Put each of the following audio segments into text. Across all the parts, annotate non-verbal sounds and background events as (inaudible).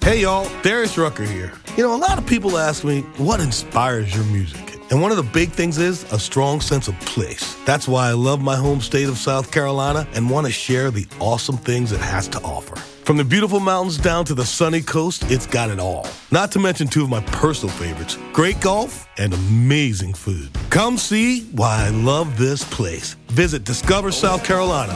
Hey y'all, Darius Rucker here. You know, a lot of people ask me, what inspires your music? And one of the big things is a strong sense of place. That's why I love my home state of South Carolina and want to share the awesome things it has to offer. From the beautiful mountains down to the sunny coast, it's got it all. Not to mention two of my personal favorites great golf and amazing food. Come see why I love this place. Visit Discover South Carolina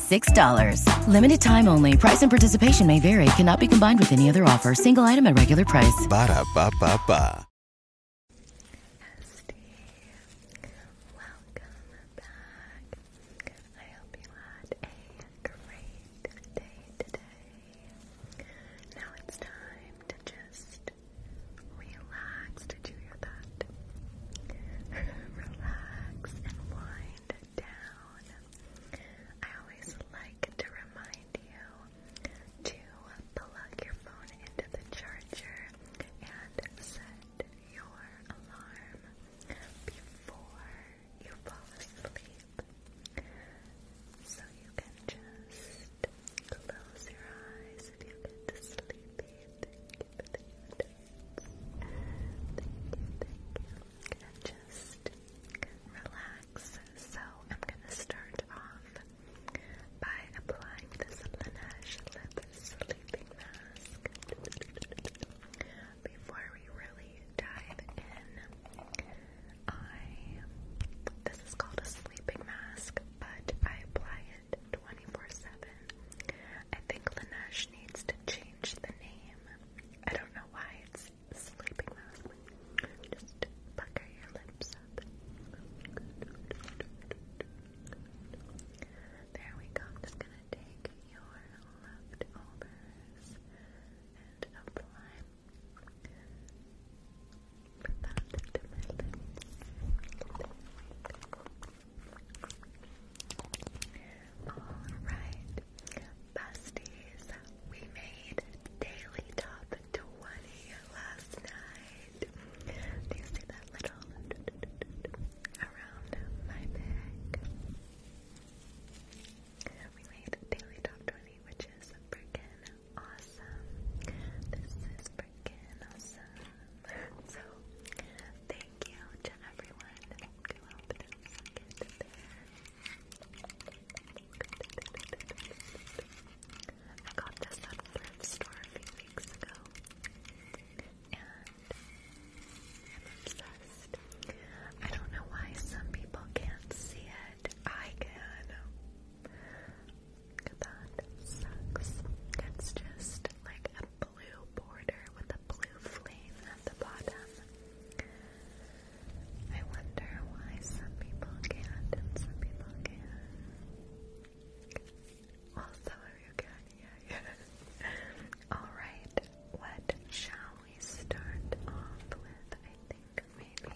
$6. Limited time only. Price and participation may vary. Cannot be combined with any other offer. Single item at regular price. Ba da ba ba ba. Welcome back. I hope you had a great day today. Now it's time to just relax, to do your thoughts. (laughs) Relax and wind down. I always like to remind you to plug your phone into the charger and set your alarm before you fall asleep. So you can just close your eyes if you get sleepy just relax. So I'm gonna start off by applying this Laneige lip sleeping mask before we really dive in. I this is called a sleeping mask, but I apply it 24/7. I think Linash needs to change the name. I don't know why it's sleeping mask. Just pucker your lips up. There we go. just gonna take your leftovers and apply Alright, besties, we made daily top 20 last night. Do you see that little around my neck? We made daily top 20, which is freaking awesome. This is freaking awesome. So, thank you I got this at a thrift store a few weeks ago. And I'm obsessed. I don't know why some people can't see it. I can. That sucks. It's just like blue border with a blue flame at the bottom. I wonder why some people can and some people can. Also, if you can, yeah, (laughs) yeah. Alright, what shall we start off with? I think maybe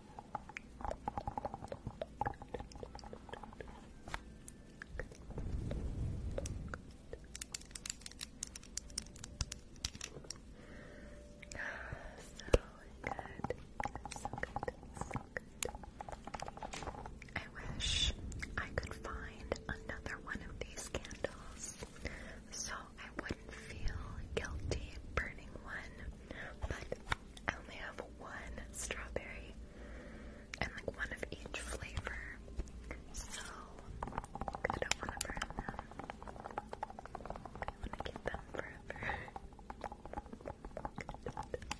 So good, so good. I wish I could find another one of these candles so I wouldn't feel guilty burning one, but I only have one strawberry and like one of each flavor. So I don't to burn them. I want to keep them forever. (laughs)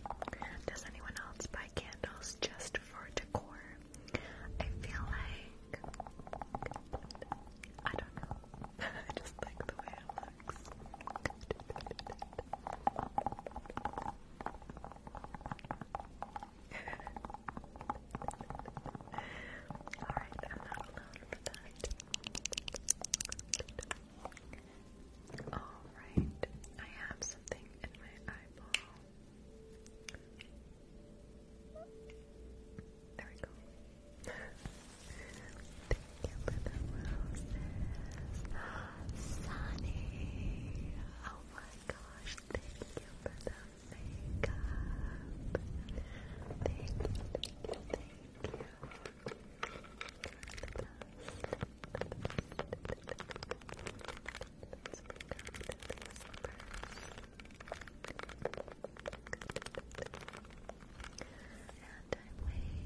Does anyone else buy candles just for decor? I feel like I don't know. (laughs) I just like the way relax. Alright, Alright, I have something in my eyeball. There we go. Thank you for the roses. Sunny. Oh my gosh, thank you for the makeup. Thank you, thank you, thank you. And I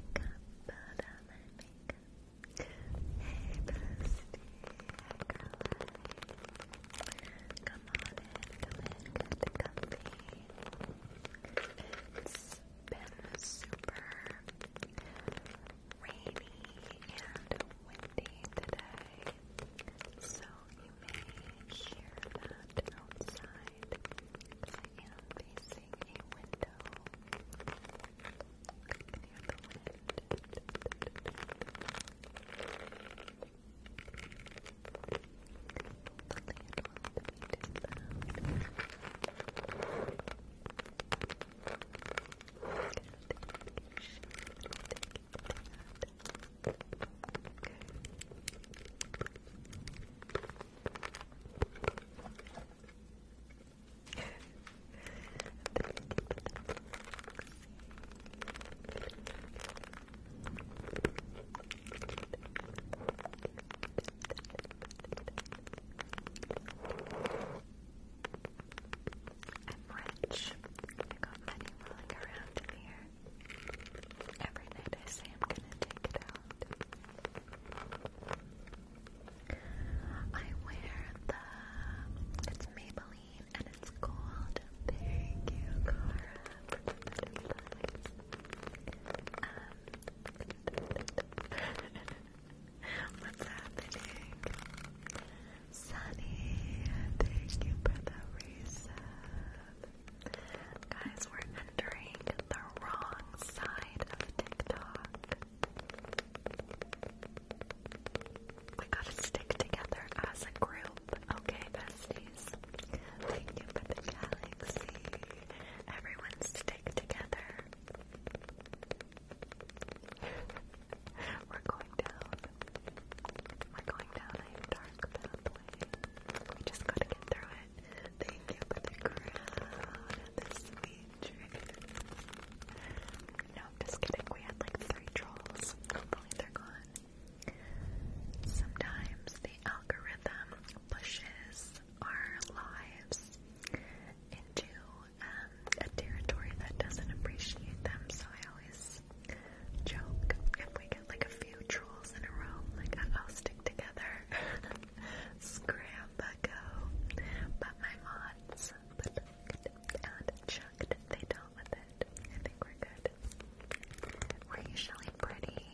wake up, summer makeup. Hey, bestie. Hi, Come on in. Come in. Get comfy. It's been super rainy and windy today, so you may hear that outside. I am facing a window. I the wind. The land will be too loud. I'm rich. I got rolling around in here. Every I say I'm gonna take it out. I wear the, it's Maybelline and it's gold. Thank you, Cara. Um, (laughs) what's happening? Sunny, thank you for the reset. Guys, we're entering the raw outside of TikTok. We gotta stick together as a group, okay, besties? Thank you for the galaxy. Everyone stick together. We're going down. We're going down a dark pathway. We just gotta get through Thank you the crowd and the sweet dream. No, I'm just kidding. We had like three trolls. Hopefully they're gone. Sometimes the algorithm pushes our lives into um, a territory that doesn't appreciate them, so I always joke if we get like a few trolls in a row, like I'll stick together (laughs) Scrambago. But my mods plucked and chucked. They dealt with it. I think we're good. We're usually pretty,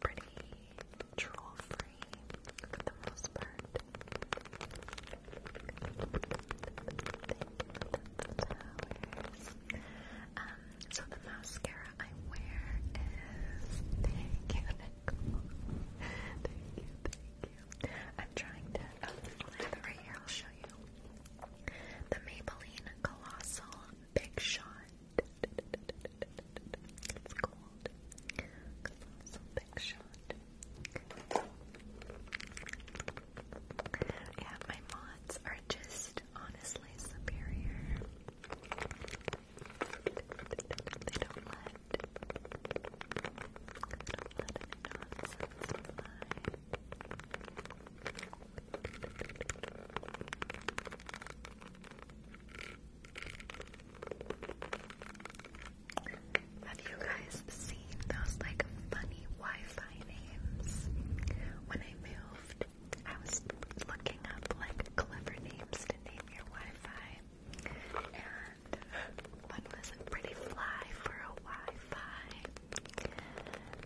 pretty troll free the most part. Um, so the mascara I wear is thank you, thank you. I'm trying to. Oh, right here. I'll show you. The Maybelline Colossal Big Shot. It's called Colossal Big Shot. Yeah, my mods are just honestly superior. They don't let they don't let any nonsense fly. Have you guys seen those like funny Wi-Fi names? When I moved, I was looking up like clever names to name your Wi-Fi, and um, one was a pretty fly for a Wi-Fi.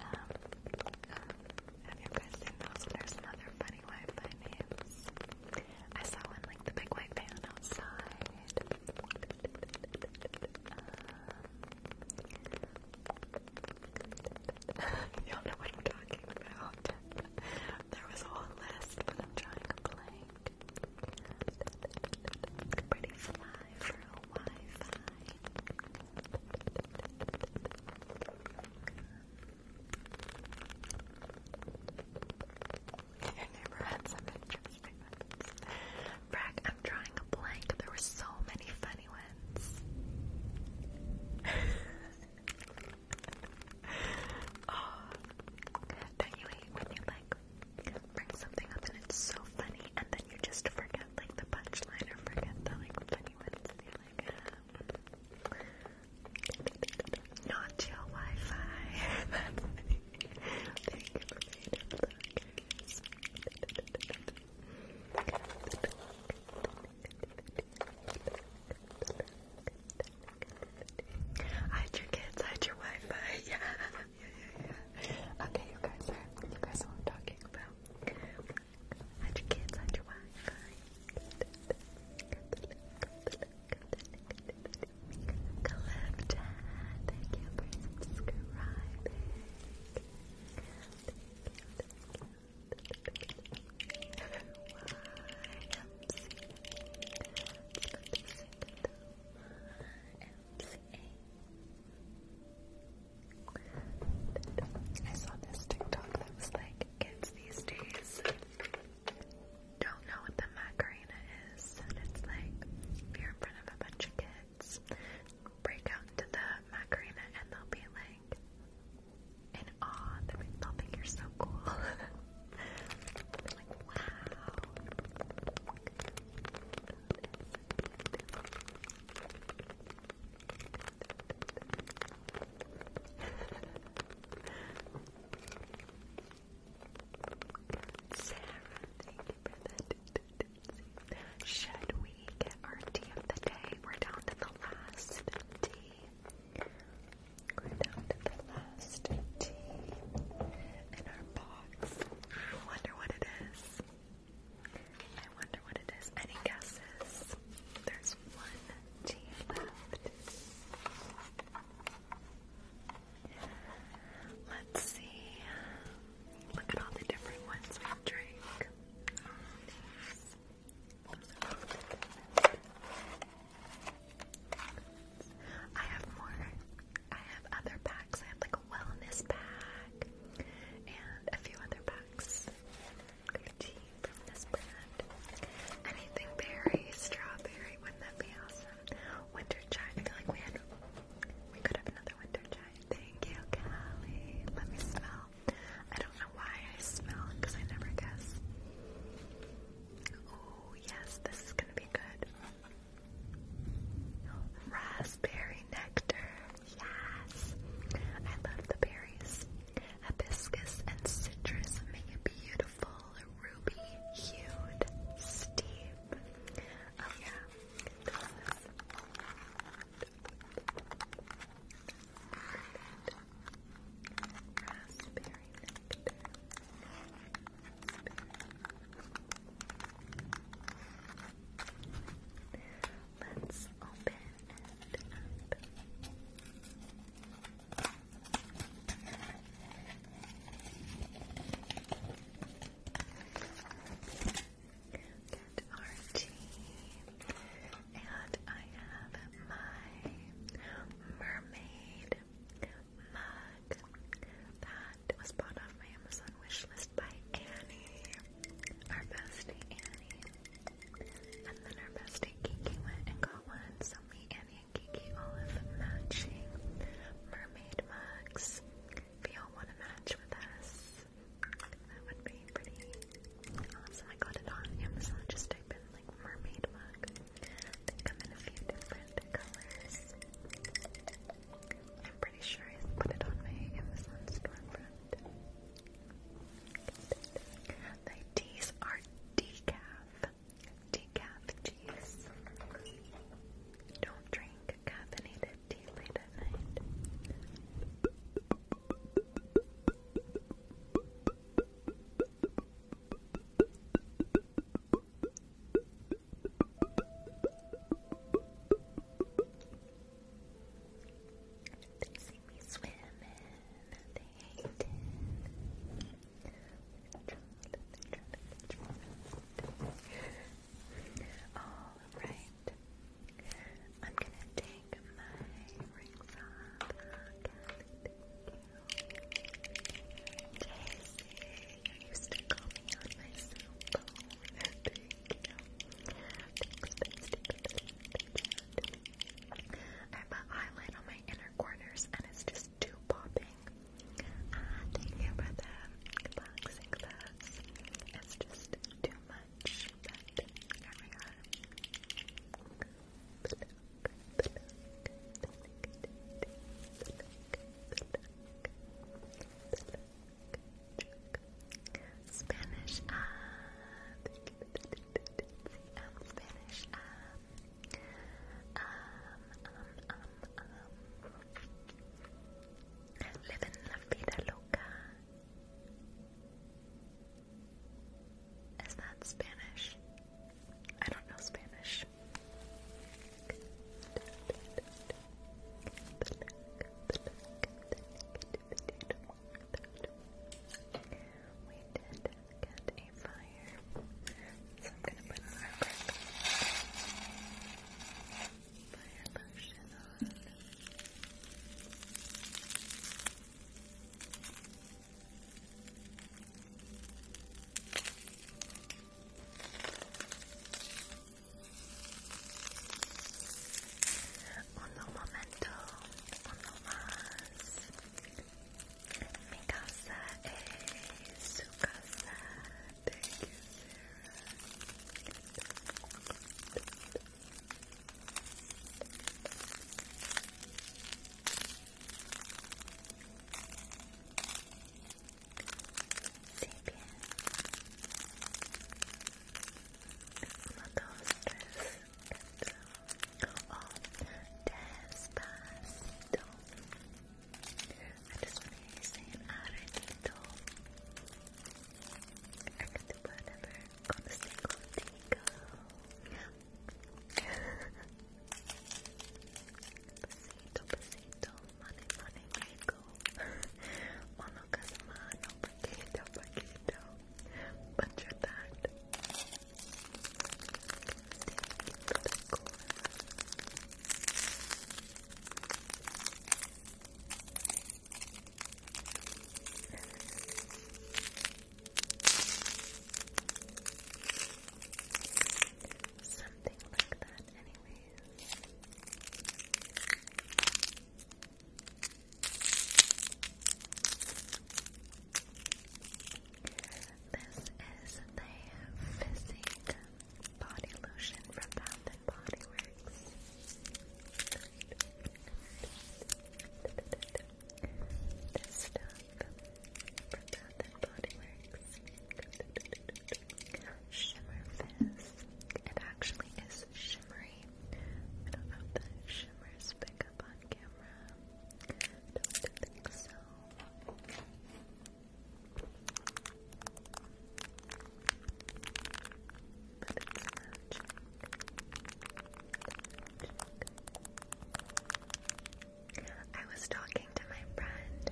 Um, um, have you guys seen those? There's another funny Wi-Fi names. I saw one like the big white van outside. Um, (laughs) Y'all know what I'm talking about. There was a whole list, but I'm trying to blank. Pretty fly for a Wi-Fi. Your neighbor had some interesting ones. Brack, I'm drawing a blank. There were so many funny ones. (laughs) (laughs) oh, do when you like bring something up and it's so funny, and then you just forget like the punchline or forget the like funny ones, um, not chill Wi-Fi. (laughs) Thank you (laughs) Hide your kids, hide your Wi-Fi. Yeah, yeah, yeah, yeah. Okay, you guys you guys are what I'm talking about. Hide your kids, hide your Wi-Fi. Calypta, thank I saw this TikTok that was like, kids these days don't know what the Macarena is. And it's like, you're in front of a bunch of kids, break out into the Macarena and they'll be like, in awe. they you're so cool. (laughs) wow. Should we get our tea of the day? We're down to the last tea we down to the last tea in our box. I wonder what it is. I wonder what it is. Any guesses? There's one tea left. Let's see. Look at all the different ones we drink. Oh, I have more. I have other packs. I have like a wellness pack and a few other packs. Good tea from this brand. Anything berry, strawberry, wouldn't that be awesome? Winter giant. I feel like we had we could have another winter giant. Thank you, Callie. Let me smell. I don't know why I smell because I never guess. Oh, yes, this is gonna be good. Raspberry nectar, yes. I love the berries. Hibiscus and citrus make a beautiful ruby hued steep. Oh, yeah. Berry nectar. Let's open it up. our tea, and I have my mermaid mug that was bought off my Amazon wish list by Annie, our bestie Annie. And then our bestie Kiki went and got one, so me, Annie, and Kiki all have matching mermaid mugs. If y'all want to match with us, that would be pretty awesome. I got it on Amazon, just type in like mermaid mug. They come in a few different colors. I'm pretty sure I put it on my Amazon storefront. The teas are decaf. Decaf teas. Don't drink caffeinated tea late at night. They see me swimming. They hate it. All right. I'm gonna take my rings off. Daisy, you used to call me on my cell phone. Thank you. Thanks, bestie, bestie. I have an eyelid on my inner corners and it's just too popping. Ah, uh, thank you for the boxing gloves. It's just too much, but there we are the neck, the Spanish, uh, uh, um, um, um, um, um, um, la vida loca. Is that Spanish? I don't know Spanish. We did get a fire, so I'm gonna put our fire lotion on. um momento, um uno más. Mi casa es su casa. Thank you, Sarah. Sapien. Lotostres. I just want to hear you saying Arenito. I can do whatever. Con Besito, besito, money, money, rico. Ono casamano, paquito, paquito. Butcher that. Thank you something like This is the Physique Body Lotion from Bath and Body Works. This stuff from Bath and Shimmer Fizz. It actually is shimmery. I don't know if the shimmers pick up on camera. don't think so. But It's magic. I was talking to my friend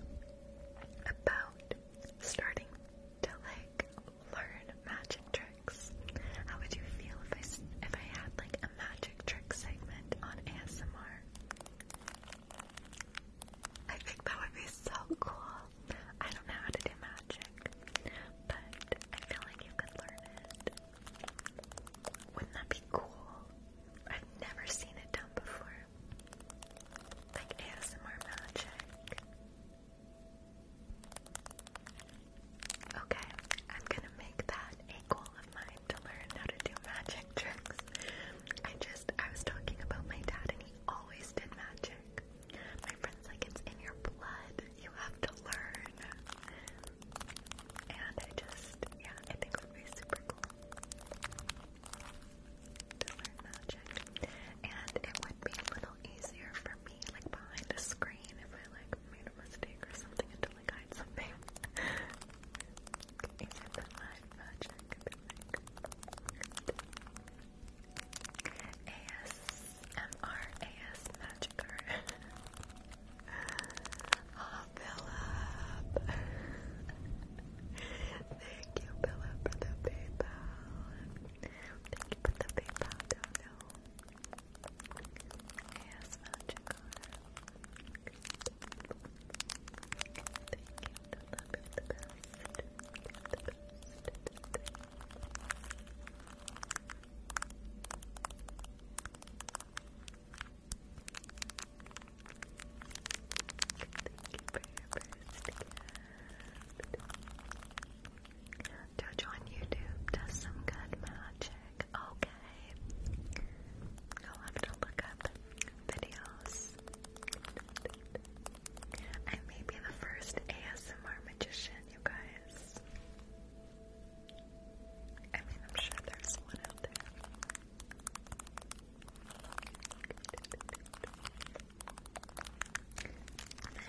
about starting to like learn magic tricks. How would you feel if I if I had like a magic trick segment on ASMR? I think that would be so cool. I don't know how to do magic, but I feel like you could learn it. Wouldn't that be cool? I've never seen it done before. Like ASMR magic. Okay, I'm gonna make that a goal of mine to learn how to do magic tricks. I just, I was talking about my dad and he always did magic. My friend's like, it's in your blood, you have to learn. And I just, yeah, I think it would be super cool magic, and it would be a little easier for me, like behind the screen, if I like made a mistake or something, and to like hide something. (laughs) easier magic, I Philip. Thank you, Philip, for the PayPal. Thank you for the PayPal dono. Yes, magic honor. Thank you, Philip, the best. Thank you. Jojo on YouTube does some good magic. Okay. I'll have to look up videos. I may be the first ASMR magician, you guys. I mean, I'm sure there's one out there.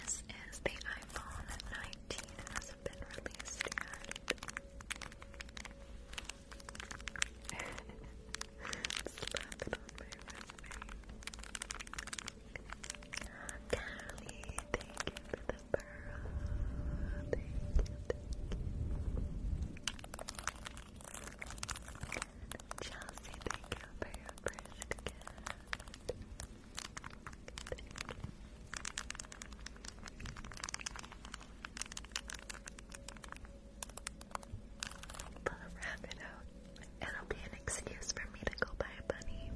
This is the iPhone 19. It hasn't been released yet. (laughs) Callie, thank you for the burrow. thank you. Chelsea, thank you for your first gift. But I'll wrap it out. It'll be an excuse for me to go buy a bunny.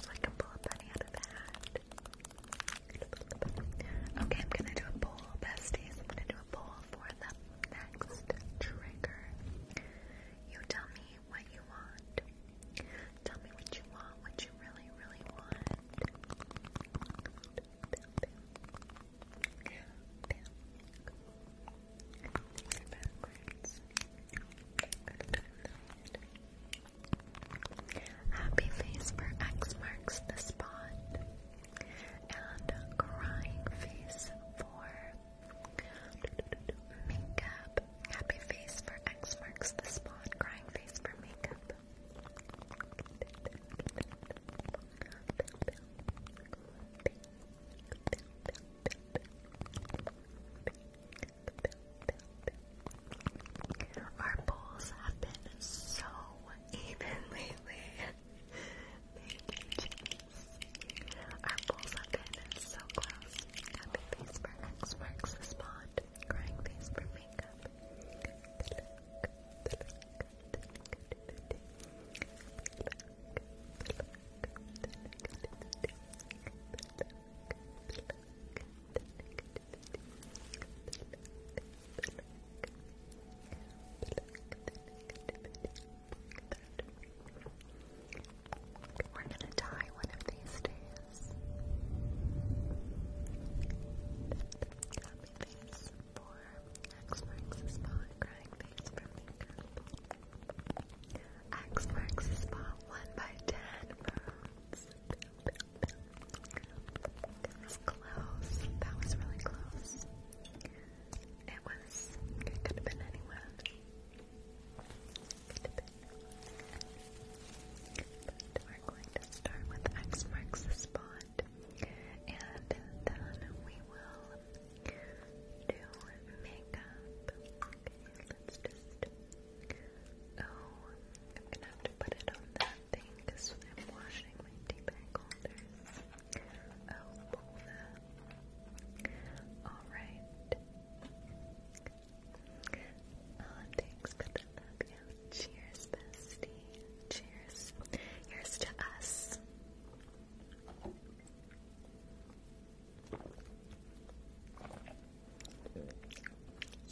So I can pull a bunny out of the hat. Okay, I'm gonna do a poll, besties. I'm gonna do a poll for the next trigger. You tell me what you want. Tell me what you want, what you really, really want. Backwards. Happy face for X marks the spot. And crying face for makeup. Happy face for X marks the spot. Crying face for makeup. Our polls have been so even lately. Our polls have been so close. Happy face for X marks the spot. Crying face for makeup. We're gonna die one of these days. Happy face for X marks the spot. Crying face for makeup. X marks the spot. One by ten. Bones. That was really close. It was. It could have been anywhere. we're going to start with X marks the spot, and then we will do makeup. Okay, let's just. Oh, I'm gonna have to put it on the thing because i my tea bag holders. Oh, Alright. Um, thanks. Good luck. Yeah. Cheers, bestie. Cheers. Here's to us.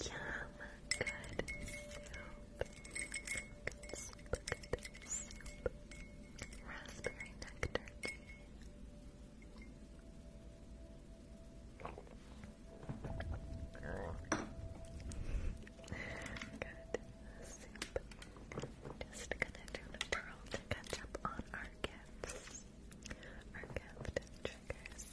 Yum good soup. Raspberry nectar Good soup. Just gonna do a twirl to catch up on our gifts. Our gift triggers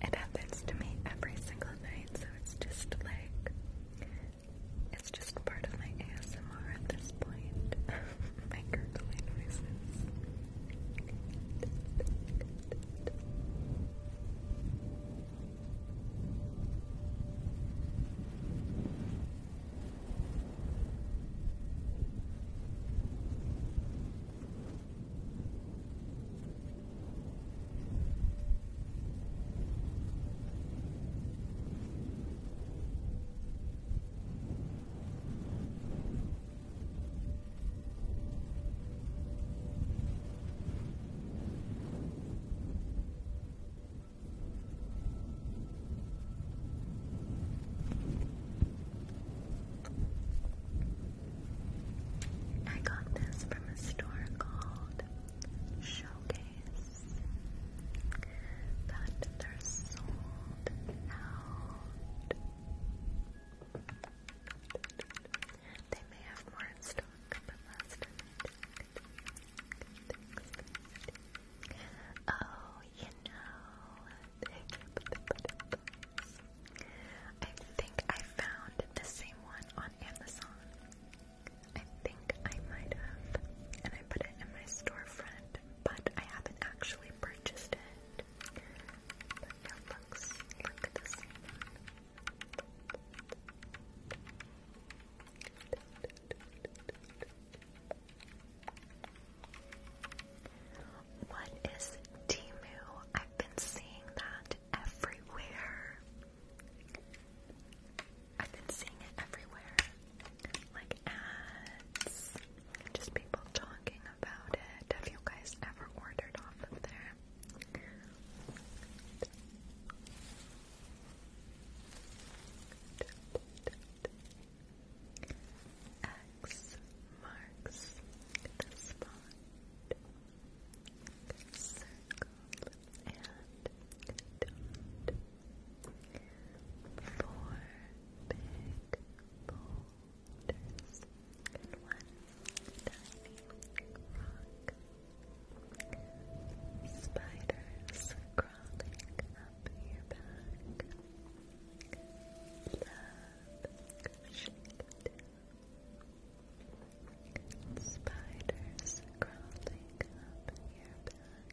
it happens to me every single night, so it's just like it's just part of my ASMR at this point. (laughs) my noises. I got this from a store called Showcase that they're sold out. They may have more in stock, but last time I checked. Oh, you know, they keep the butterflies. I think I found the same one on Amazon. I think I might have, and I put it in my storefront, but I haven't actually purchased it. But it looks, look at this one. What is Timu? I've been seeing that everywhere. I've been seeing it everywhere, like ads, just people talking about it. Have you guys ever ordered off of there? X marks the spot. Circle and dot four big boulders and one tiny rock. Spiders crawling up your back. Love crashing Spiders crawling up your back.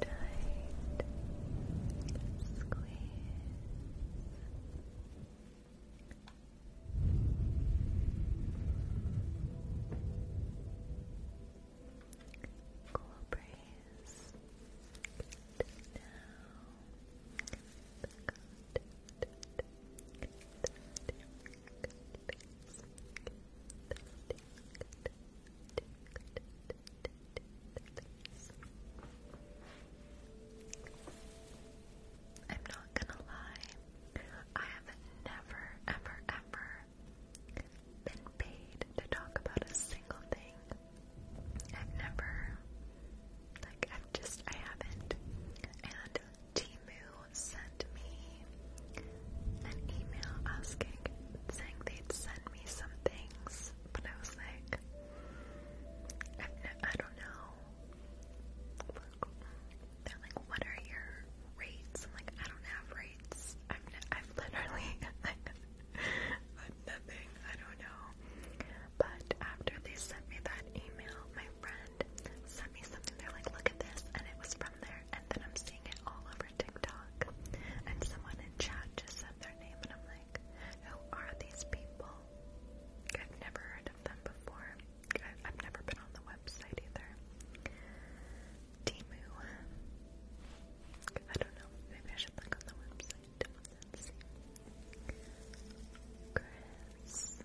Tight squeeze. Cool breeze. Now, I'm not gonna lie, I have never, ever, ever been paid to talk about a single thing. I've never, like, I've just, I haven't. And Timu sent me an email asking, saying they'd send me some things, but I was like, I've no, I don't know. Look, they're like, what are your rates? I'm like, I don't have rates. I've, no, I've literally, (laughs) like, I'm nothing. I don't know. But after they sent me that email, my friend sent me something. They're like, look at this, and it was from there. And then I'm seeing it all over TikTok. And someone in chat just said their name, and I'm like, who are these people? I've never heard of them before. I've, I've never been on the website either. Timu. I don't know. Maybe I should look on the website. Let's see. Chris.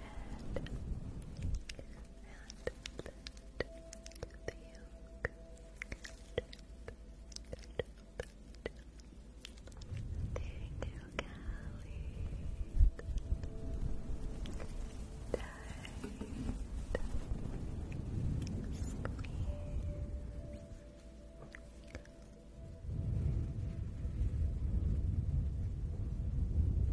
and let the yolk Thank you, Callie. Tight. Squeeze. Good.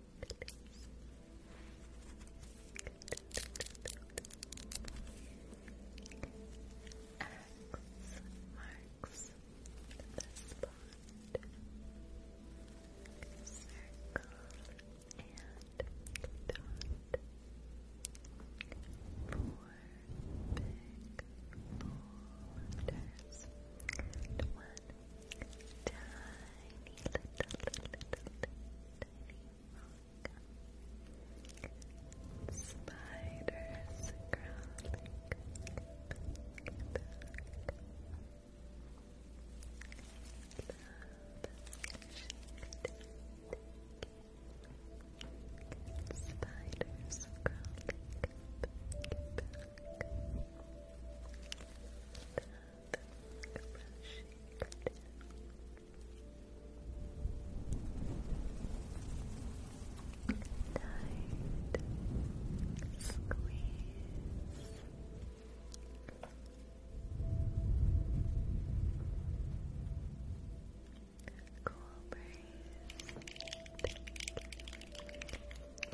X marks the spot. Circle and dot. Four big boulders. one tiny little, little, little, tiny spiders crawling Spiders crawling Tight squeeze. Cool breeze. Thank you.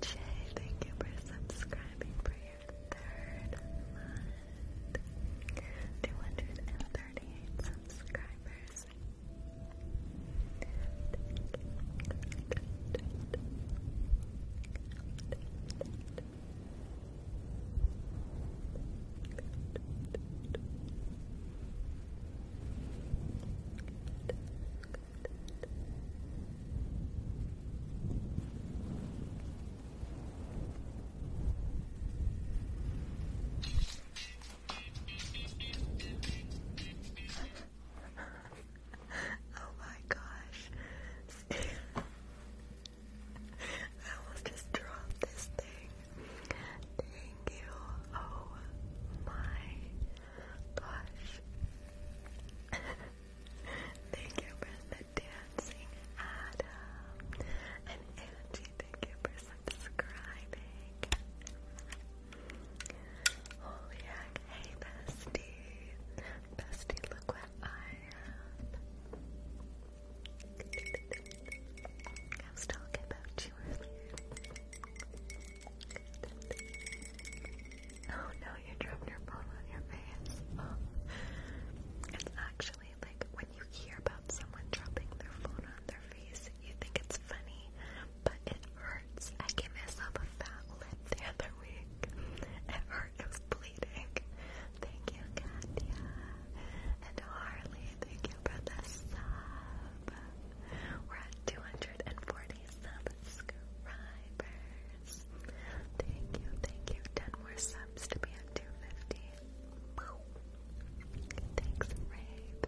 Jay, thank you for subscribing for your third month. 238 subscribers. (laughs) oh my gosh. (laughs) I almost just dropped this thing. Thank you. Oh my gosh. (laughs) Thank you for the dancing, Adam. And Angie, thank you for subscribing. Holy heck, hey bestie. Bestie, look what I have. I was talking about you earlier. Oh no, you dropped your phone on your face. Oh. It's actually like when you hear about someone dropping their phone on their face, you think it's funny, but it hurts. I gave myself a fat lip the other week. It hurt, it was bleeding. Thank you, Katya. And Harley, thank you for the sub. We're at 240 subscribers. Thank you, thank you. 10 more subs to be at 250. Thanks, Rabe.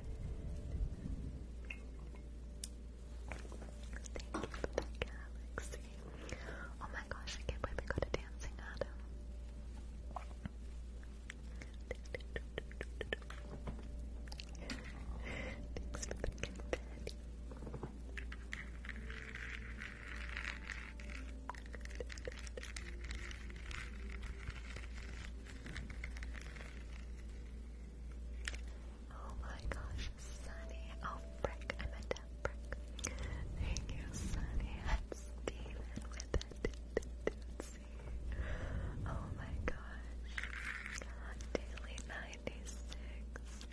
Thank you Oh my gosh, I can't believe we got a dancing Adam. Thanks for the confetti. Oh my gosh, Sunny. Oh, Brick. I meant to have Brick. Thank you, Sunny. And Steven with it. Oh my gosh. Daily 96.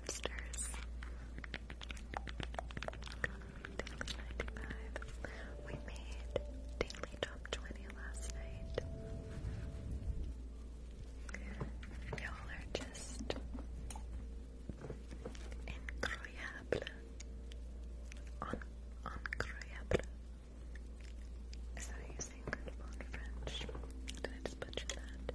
hamsters. We made daily top 20 last night. Y'all are just incroyable. Un incroyable. Is you say in French? Did I just butcher that?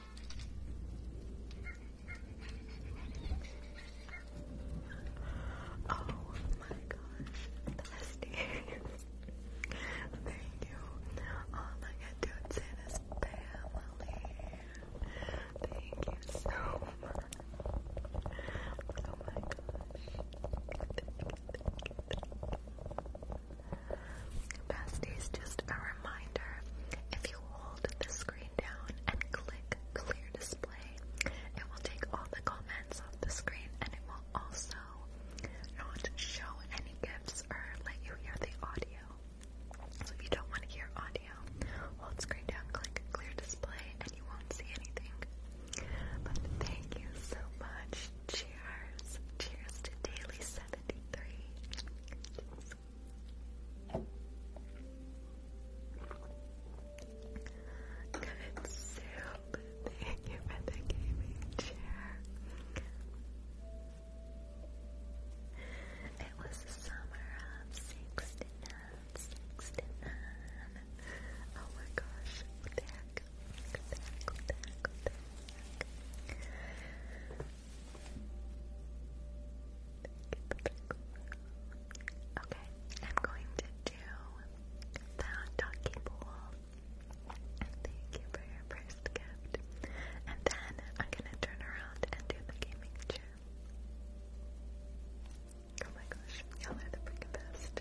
Oh my gosh, Thank you. All I can do to family. Thank you so much. Oh my gosh. thank you. Besties, just a reminder, if you hold the screen down and click clear display, it will take all the comments off the screen and it will also not show any gifts or let you hear the audio. So if you don't want to hear audio, hold screen down, click clear display, and you won't see anything. But thank you so much. Cheers. Cheers to Daily 73. Good soup. Thank you for gaming chair. It was the summer of 69, 69. Oh my gosh, look back, look back, look Okay, I'm going to do the donkey pool. Thank you for your first gift. And then I'm gonna turn around and do the gaming chair. Oh my gosh, y'all are the freaking best.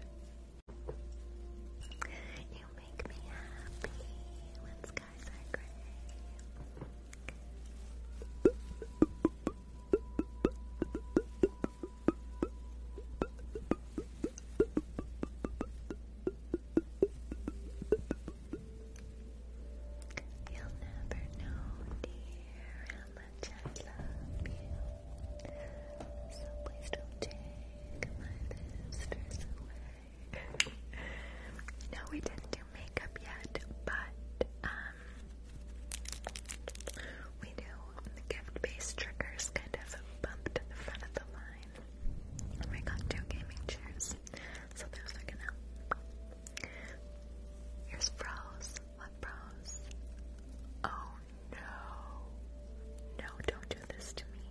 You make me happy. Let's go guys you never know, dear, how much I love you. So please don't take my lips away no, we didn't do makeup yet, but um, we do gift-based triggers kind of bumped to the front of the line. we got two gaming chairs, so those are gonna. Here's bros. What bros? Oh no! No, don't do this to me.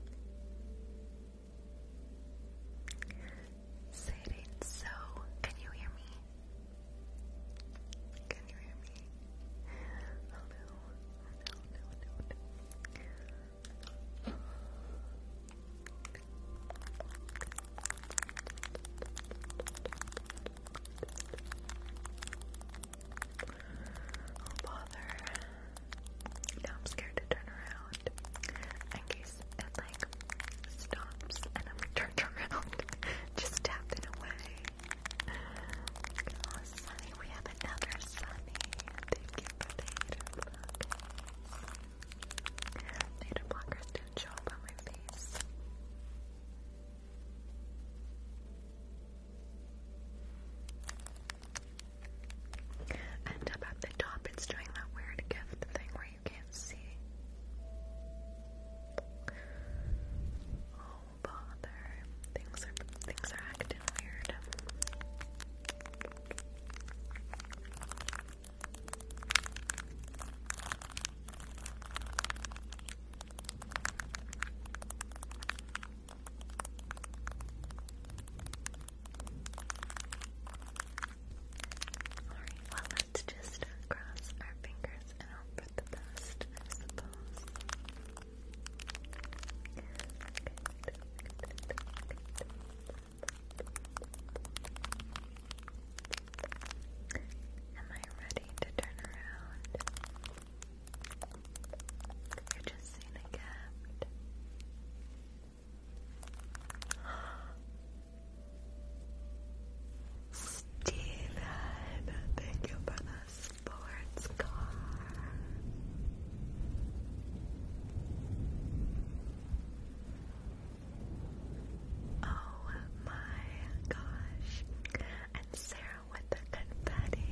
Say it so. Can you hear me? Can you hear me? Oh no. No, no, no, no. Oh bother. Now I'm scared to turn around and get and like stops and I'm turned (laughs) around just tapping away. Oh Sunny, we have another Sunny. Thank you for the hater blockers. Hater blockers do show up on my face. And up at the top, it's doing that weird gift thing where you can't see. Oh bother. Things are things are acting weird. Alright, well let's just cross our fingers and hope for the best, I suppose. Am I ready to turn around? You're just seeing a gift. Steven, thank you for the sports car. Oh my gosh. And Sarah with the confetti.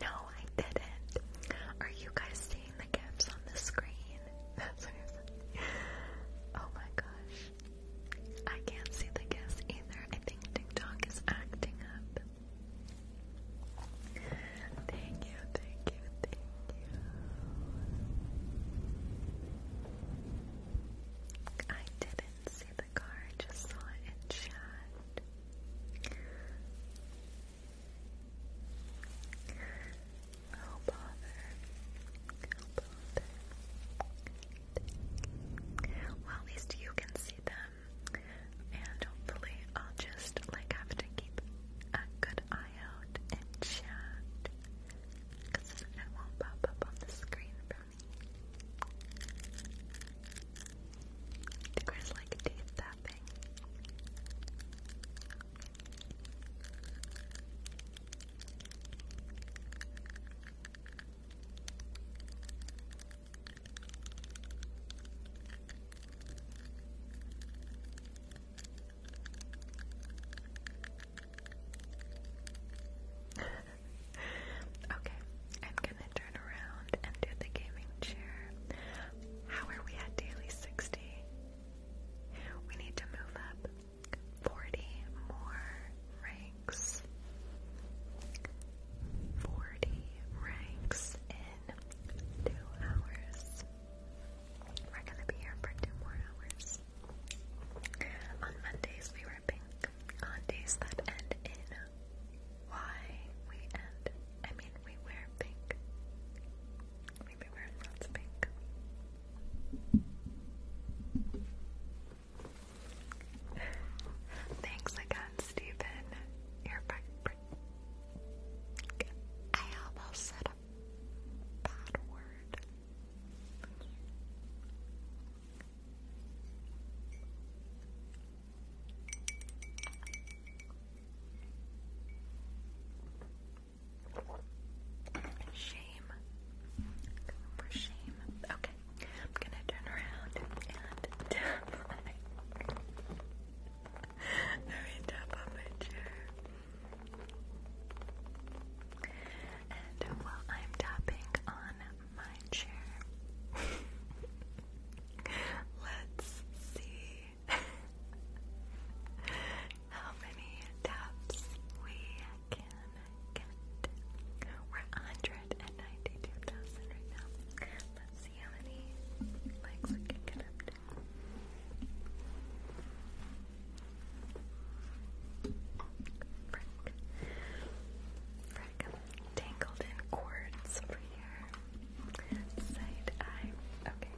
No, I didn't. Are you guys seeing the gifts on the screen? (laughs) I Oh my gosh. I can't see the guest either. I think TikTok is acting up. Thank you, thank you, thank you. I didn't see the car, just saw it in Oh Well, at least you can see them. And hopefully I'll just like have to keep a good eye out and chat. it won't pop up on the screen for me. The Chris like teeth tapping okay, I'm gonna turn around and do the gaming chair. How are we at daily 60? We need to move up. Forty more ranks. Forty ranks in two hours. We're gonna be here for two more hours. On Mondays we were pink. On days that end in Y, we end. I mean, we wear pink. Maybe Thanks again, Stephen. You're perfect. I almost said a bad word. Shame. For shame. Okay. I'm gonna turn around and (laughs) tap on my chair. And while I'm tapping on my chair, (laughs) let's see (laughs) how many taps we can get. We're 192,000 right now. Let's see how many likes we can get up to. Tangled in cords over here. Side eye. Okay.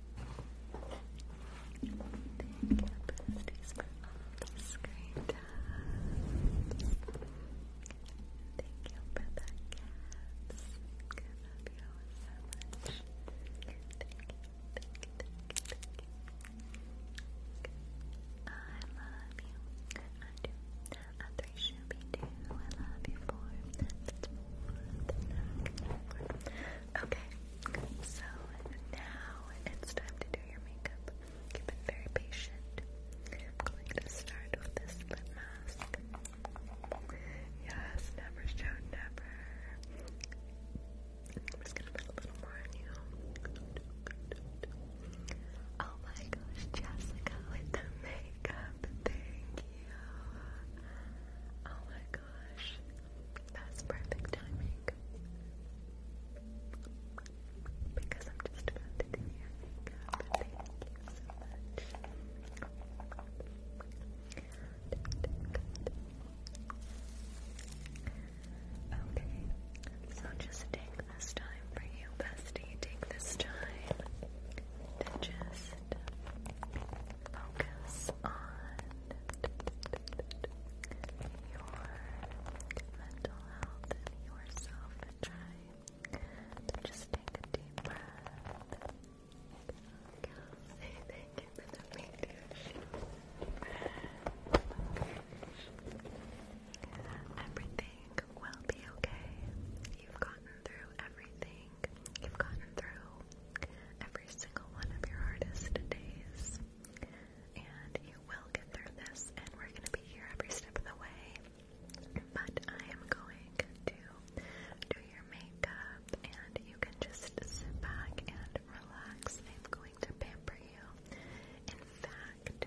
Thank you, besties, for all the screen Thank you for the cats. I love you so much. I love you. I do. I three should be two. I love you four. Okay, so now it's time to do your makeup. You've very patient. I'm going to start with this lip mask. Yes, never show never. I'm just gonna put a little more on you. Oh my gosh, Jessica with the makeup. Thank you. Oh my gosh. That's perfect timing. Because I'm just about to Okay, so just take this time for you, bestie. Take this time to just focus on your mental health yourself and try just take a deep breath. Say thank you for the mediation. Everything will be okay. You've gotten through everything you've gotten through every single one of your hardest days. And you will get through this, and we're going to be here every step of the way. But I am going to do your makeup, and you can just sit back and relax. I'm going to pamper you. In fact,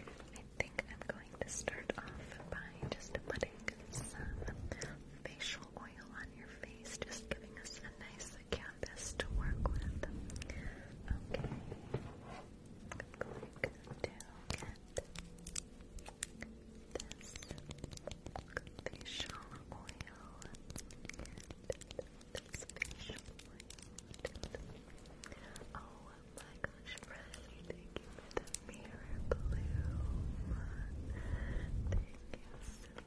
I think I'm going to start off by just putting some facial oil on your face, just giving us a nice canvas to work with. Okay. going to get this facial oil. Oh my gosh, Bradley, thank you for the mirror blue. Thank you so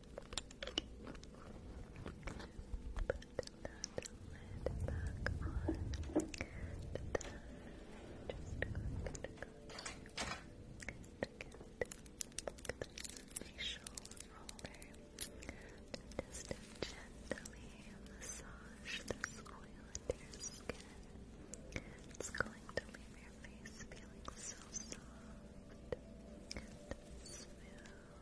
facial roller to just gently massage this oil into your skin. It's going to leave your face feeling so soft and smooth.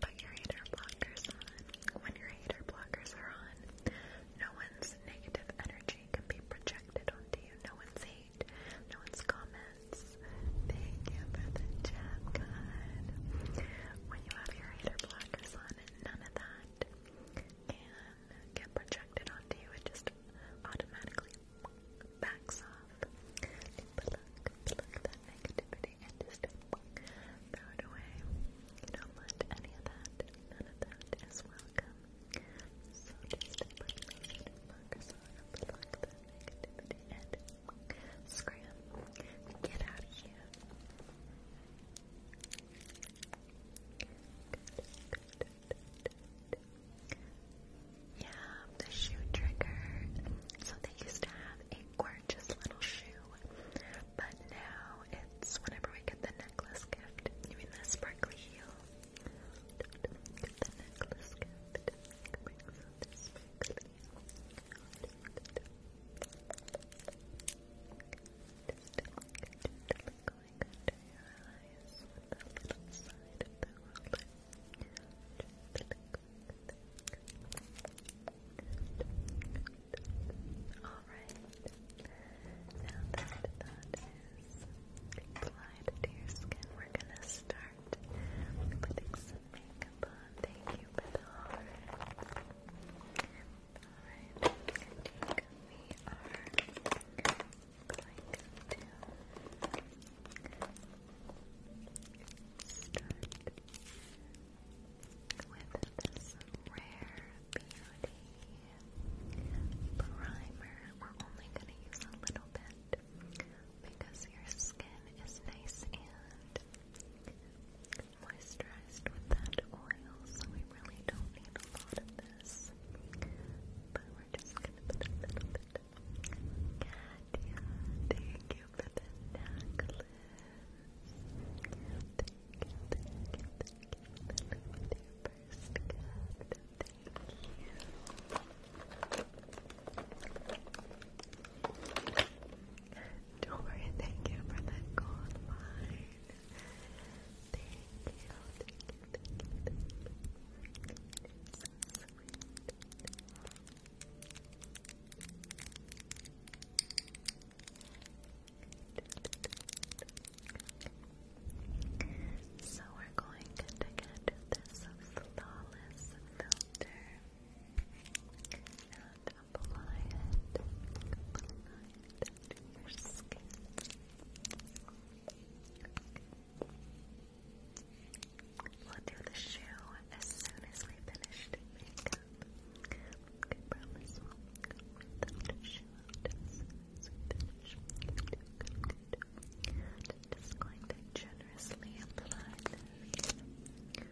Put your hater blockers on. When your hater blockers are on, no one's negative energy can be projected onto you. No one's hate, no one's comments. Thank you for the chat, God. When you have your hater blockers on, none of that can get projected onto you. It just automatically backs off, pluck, that negativity and just throw it away. You do any of that, none of that is welcome. So just put that negativity and scram. Get out of here. Yeah, the shoe trigger. So they used to have a gorgeous little shoe, but now it's whenever we get the necklace gift. You mean the sparkly heel? Get the necklace gift. Brings out the sparkly heel. Just going under your eyes on the little side of the roller. Alright, now that that is applied to your skin, we're gonna start putting some makeup on. Thank you, Bethar. Alright, I we are going to Start with this rare beauty primer. We're only going to use a little bit because your skin is nice and moisturized with that oil, so we really don't need a lot of this. But we're just going to put a little bit Katya, thank you for the necklace. Thank thank you, for the with Thank you. thank you Thank you, thank you, thank you, thank you. So we're going to get this flawless filter and apply it, to your skin. We'll do the shoe as soon as we finish makeup. I promise we'll without a shoe we finish. Good, good, good. I'm just going generously apply this.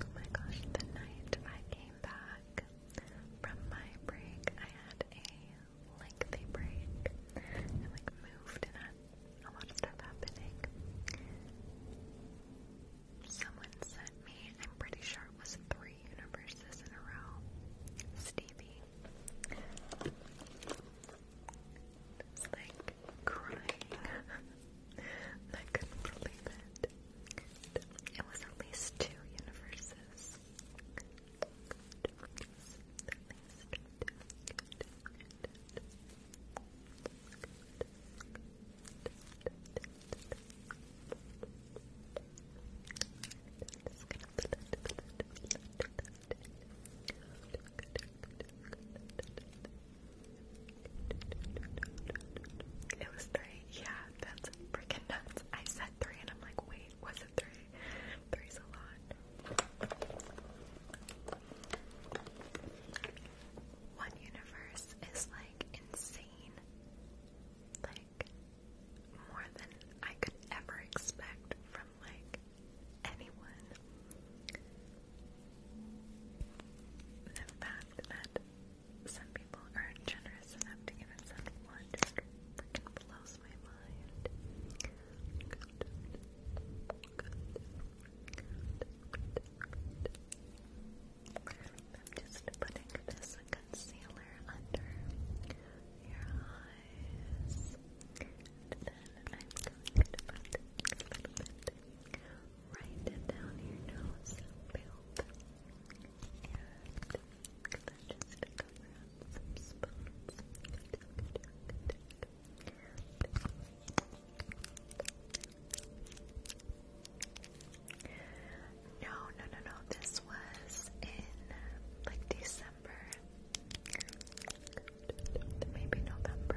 Oh my gosh, the night I came back from my break, I had a lengthy break. I like moved and had a lot of stuff happening. Someone sent me, I'm pretty sure it was three universes in a row. Stevie. like crying. (laughs) I couldn't believe it. It was at least two universes. It was three, yeah. That's freaking nuts. I said three and I'm like, wait, was it three? Three's a lot. One universe is like insane. Like more than I could ever expect from like anyone. The fact that some people aren't generous enough to even send one. Just freaking blows my mind. I'm just putting this concealer under your eyes. then I'm going to put a right down your nose. Build no, no, no, no. This was in like December, maybe November.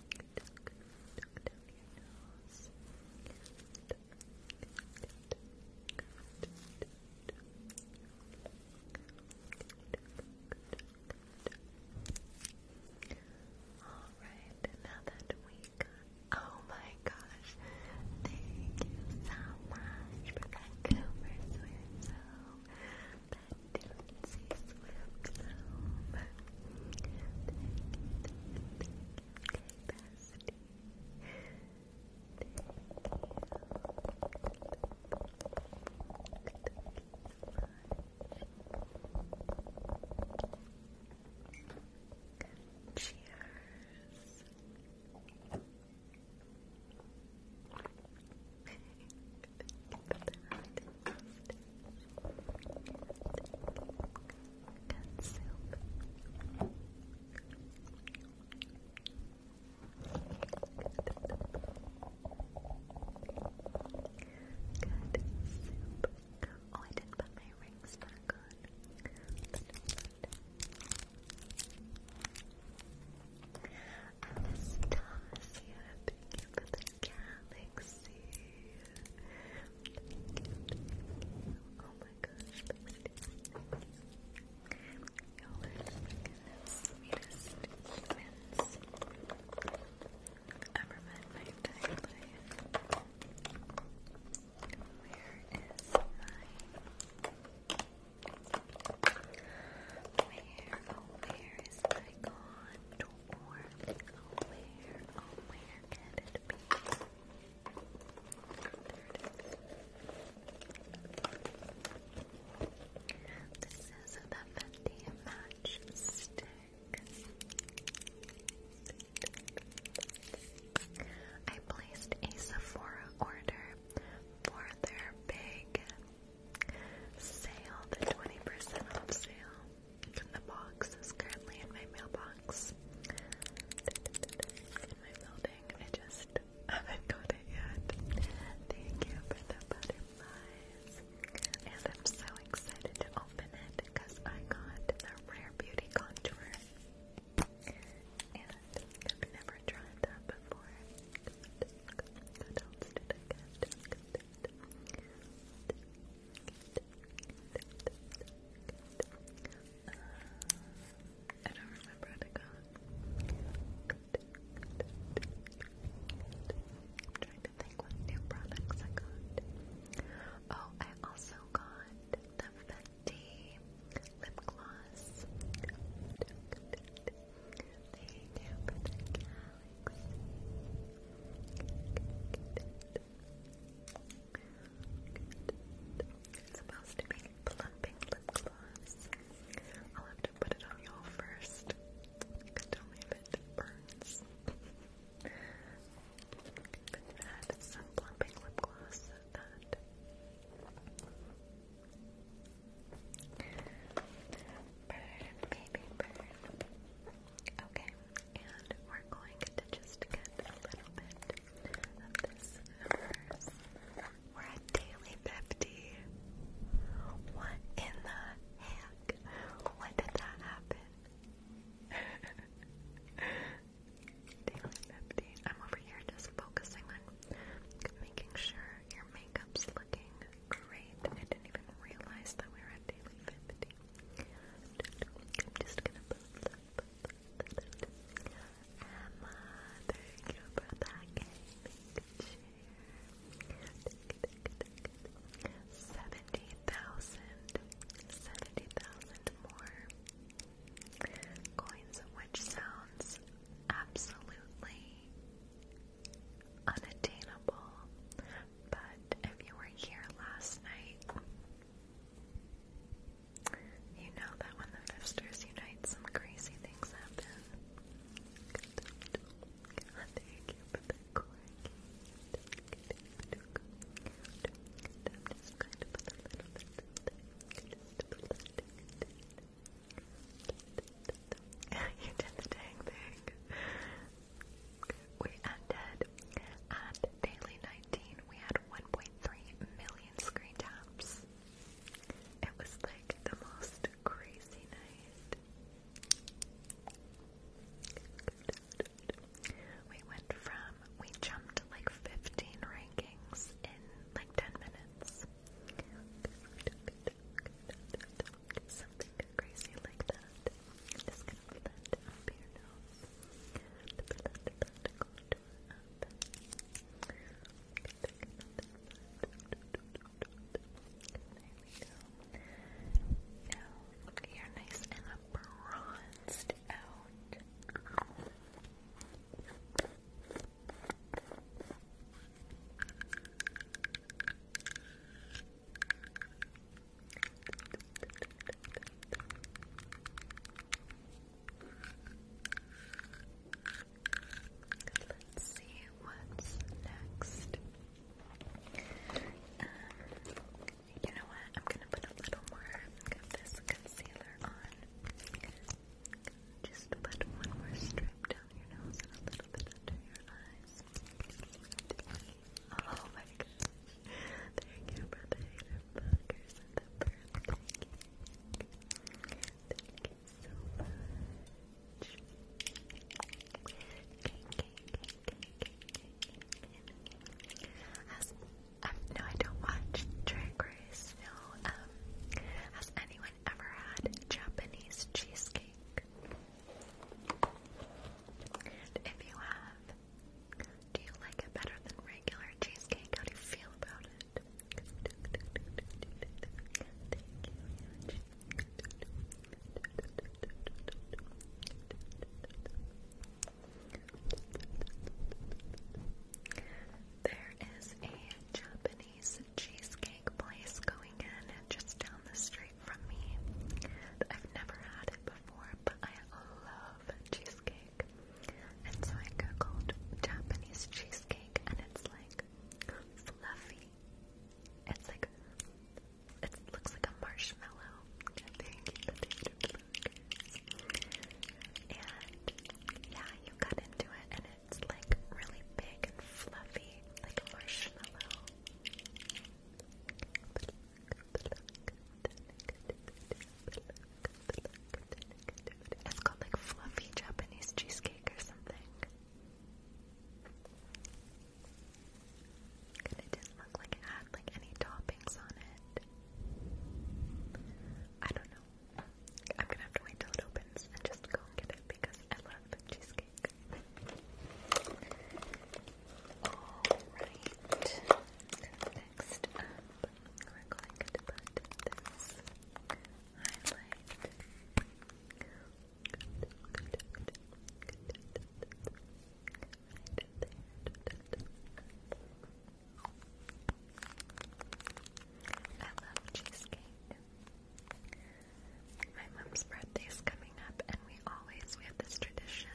All right, now that we oh my gosh, thank you so much for that Cooper swim. So Tootsie Swift home. Thank you, thank you, thank you, Cheers. Oh, I didn't put my rings back on. Anastasia, thank you for the galaxy. Lucy. Oh my gosh, you the sweetest humans ever met my entire Where is my where oh where is my contour? This is the Fenty Match Stick. I placed a Sephora order for their big sale, the 20% off sale the box is currently in my mailbox. In my building, I just haven't got it yet. Thank you for the butterflies. And I'm so excited to open it because I got the Rare Beauty Contour. And I've never tried that before. I don't remember how to go. I'm trying to think what new products I got. Oh, I also got the Fenty lip gloss. Thank you it's supposed to be plumping lip gloss. I'll to put it on y'all first. if it burns. but some plumping lip gloss Burn, baby, burn. Okay, and we're going to just get a little bit of this numbers. We're at daily 50. What in the heck? When did that happen? (laughs) daily 50. I'm over here just focusing on making sure your makeup's looking great. I didn't even realize that we are at daily 50. I'm just gonna put that. Emma, thank you for Seventy thousand, seventy thousand more coins, which sounds absolutely unattainable but if you were here last night, you know that when the Fifsters unite, some crazy things happen. Thank (laughs) you for the a little did the dang thing. We ended at daily 19. We had 1.3 million screen taps. It was like the most crazy night. We went from, we jumped like 15 rankings in like 10 minutes something crazy like that. I'm just gonna blend up your nose. there we go. Now you're nice and bronzed out. Let's see what's next. Um, you know what? I'm gonna put a little more of this concealer on. Just put one more strip down your nose and a little bit under your eyes. Oh my god. Thank you for the hater and the birthday cake. Um, no, I don't watch Drag Race. No, um, has anyone ever had Japanese cheesecake? if you have, do you like it better than regular cheesecake? How do you feel about it? There is a Japanese cheesecake place going in just down the street from me. I've never had it before, but I love cheesecake. And so I googled Japanese cheesecake, and it's like fluffy. It's like it looks like a marshmallow. And yeah, you cut into it, and it's like really big and fluffy, like a marshmallow. It's called like fluffy Japanese cheesecake or something. And it didn't look like it had like any toppings on it. I don't know. I'm gonna have to wait till it opens and just go get it because I love cheesecake. Alright, so next up, we're going to put this highlight. Good, good, good, good. Right there. I love cheesecake. My mom's birthday's coming up, and we always we have this tradition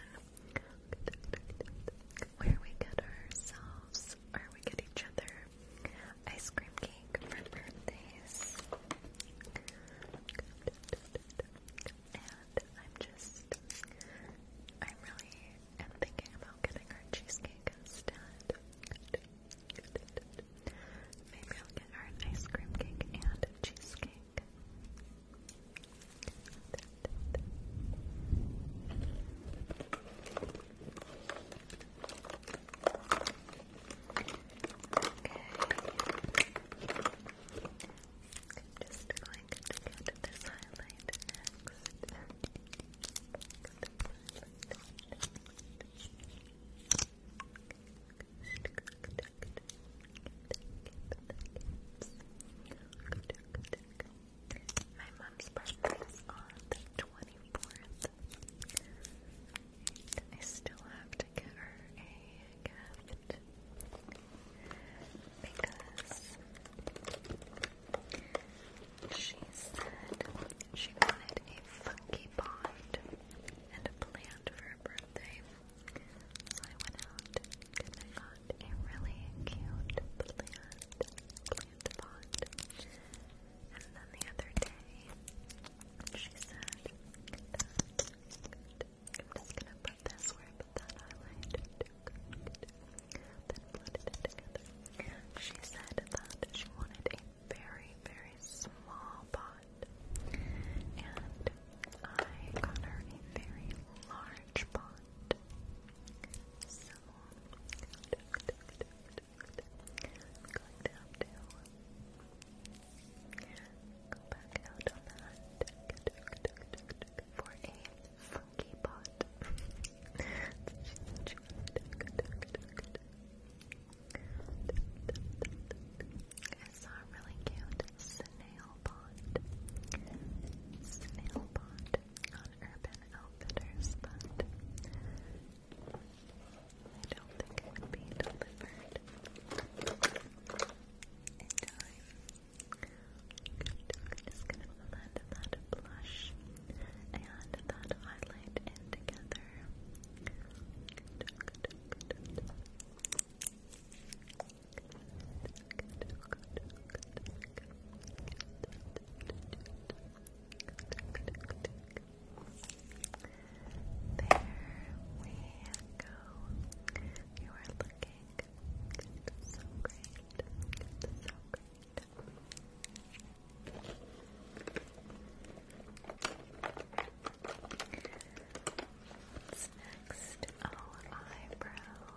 where we get ourselves, or we get each other, ice cream cake for birthdays. And I'm just, I really am thinking about getting her cheesecake instead. Maybe I'll get her ice cream cake and cheesecake. Just going to get this highlight next. My mom's birthday is on the 24th. I still have to get her a gift because she said she wanted a funky bond and a plant for her birthday. So I went out and got a really cute plant, pot. And then the other day, she said that, I'm just gonna put this where I put that highlight, it together. She said that she wanted a very, very small pot. And I got her a very large large pond. to go back out on that for a funky pot. I saw really cute snail pond. Snail pond on Urban Outfitters, but I don't think it would be delivered in time. I'm just gonna blend that blush and that highlight in together. You are looking so great. So great. What's next? Oh, eyebrows.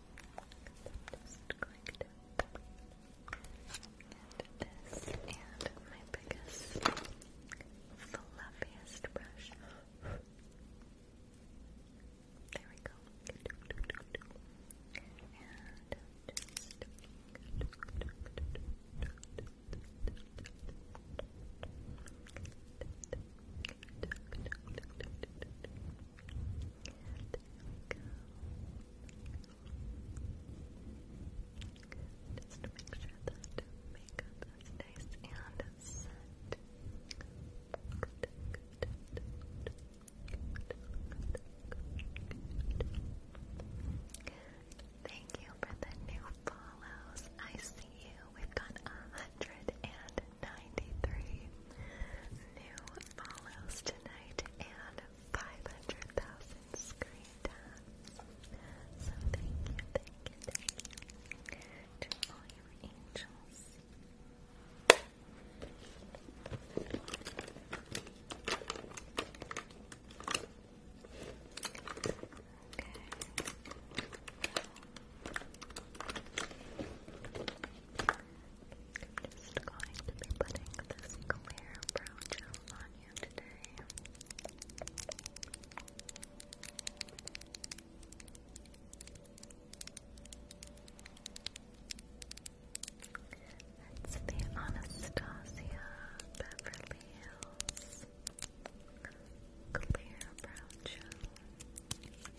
just going this and my biggest, fluffiest brush. There we go. Just to make sure that makeup is nice and set. Thank you for the new follows. I see you. We've got a hundred and 93 new follows tonight and 500,000 screen taps. So thank you, thank you, thank you to all your angels. Okay. I'm just going to be putting this clear brow gel on you today. It's the Anastasia Beverly Hills Clear Brow Gel.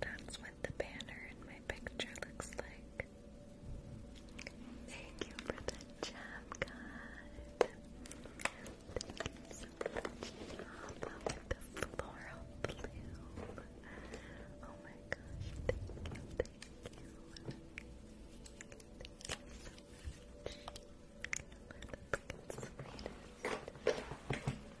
That's what the banner in my picture looks like. Thank you for the jam, God. Thank you so much. Love the floral blue. Oh my gosh, thank you, thank you. Thank you so much. You're the freaking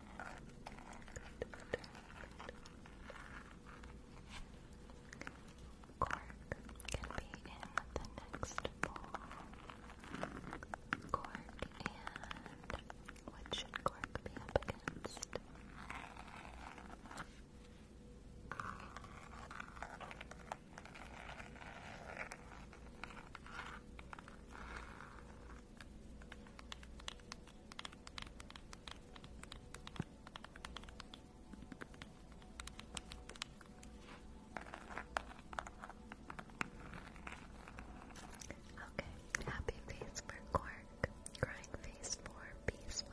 Cork can be in the next bowl. Cork and what should cork be up against? Okay, happy face for cork, crying face for beeswax.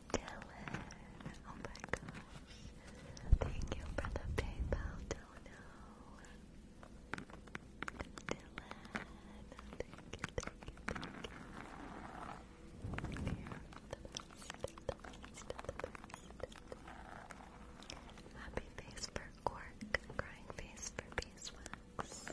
Dylan. Oh my gosh. Thank you for the PayPal dono. Dylan. Thank you, Happy face for cork, crying face for beeswax.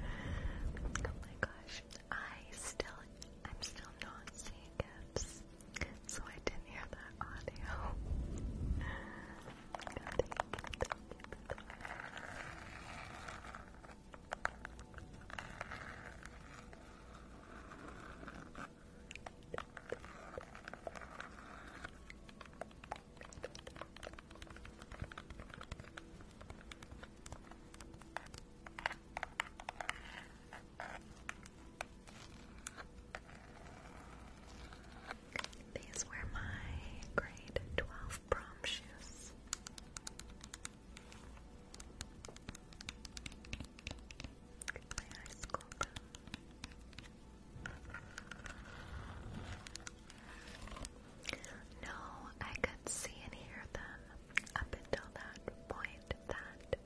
Oh my gosh, I still, I'm still not seeing gifts, so I didn't hear that audio. (laughs) thank you. These were my grade 12 prom shoes. My high school. Bell. No, I could see and hear them up until that point that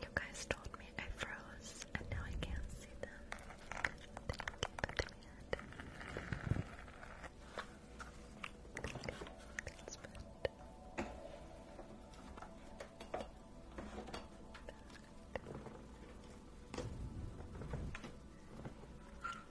you guys told me I froze and now I can't see them. Thank you,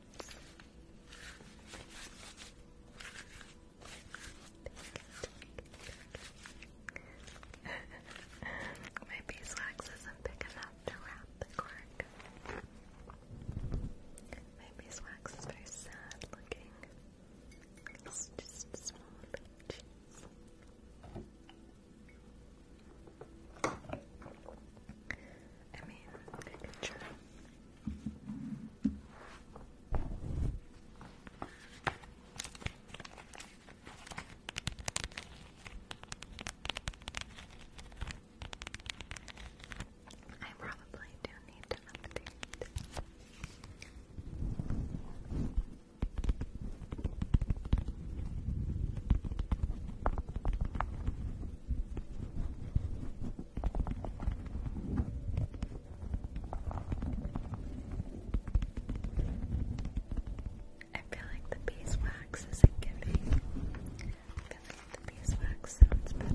(laughs) My beeswax isn't big enough to wrap the cork. My beeswax is very sad looking. It's just small peaches. I mean, a picture. I probably do need to update. I feel like the beeswax isn't giving. I feel the beeswax sounds better.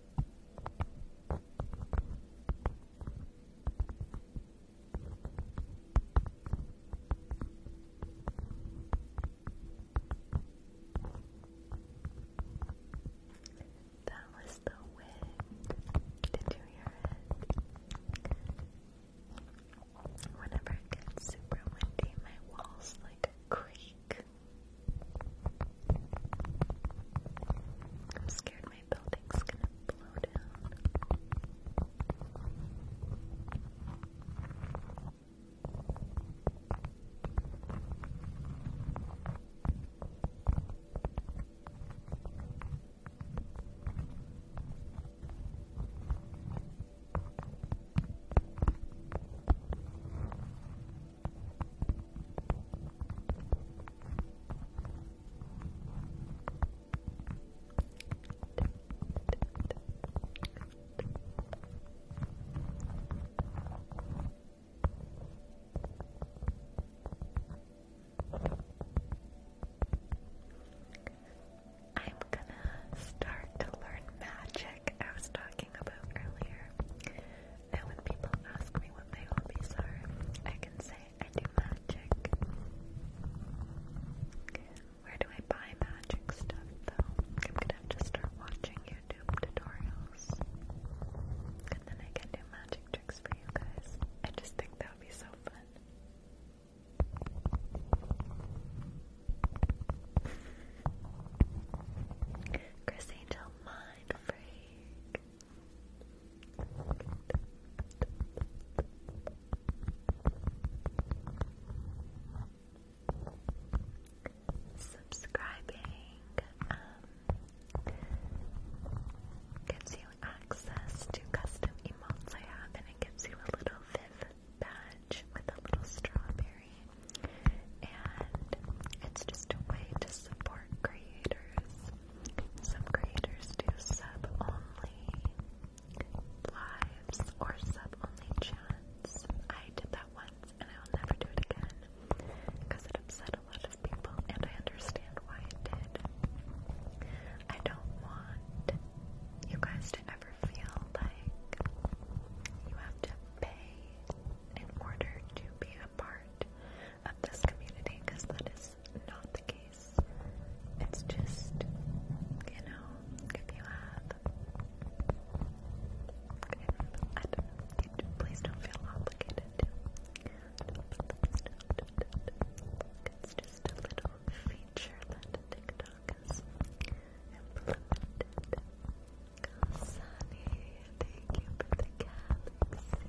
That was the wind. Did you hear it? Whenever it gets super windy, my walls like creak. I'm scared my building's gonna blow down. I'm gonna start to learn magic I was talking about earlier. And when people ask me what my hobbies are, I can say I do magic. Where do I buy magic stuff though? I'm gonna have start watching YouTube tutorials. And then I can do magic tricks for you guys. I just think that would be so fun. Chris Angel Mind Freak. Subscribing um, gives you access to custom emotes I have, and it gives you a little Viv badge with a little strawberry, and it's just a way to support creators some creators do sub only lives or sub only chats. I did that once and I'll never do it again because it upset a lot of people and I understand why it did. I don't want you guys to ever feel like you have to pay in order to be part of this community because that is not the case. It's just, you know, if you have, if, I don't, you, please don't feel obligated It's just a little feature that TikTok has Sunny, thank you for the galaxy.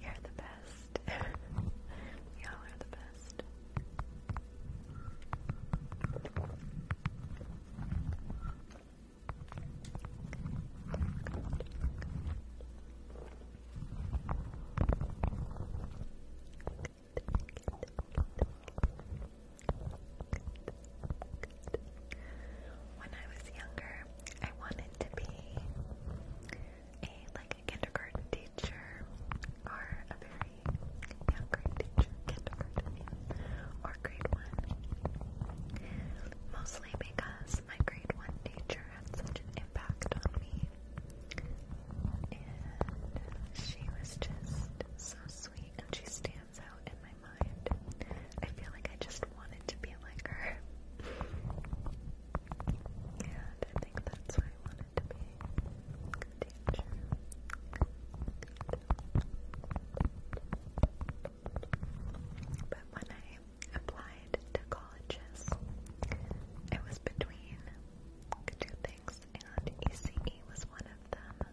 You're the best. Y'all are the best. When I was younger, I wanted to be a like a kindergarten teacher or a very young grade teacher, kindergarten or grade one. Mostly because my grade one teacher had such an impact on me. And she was just so sweet, and she in my mind. I feel like I just wanted to be like her. and I think that's what I wanted to be. Good teacher. But when I applied to colleges, it was between two things, and ECE was one of them.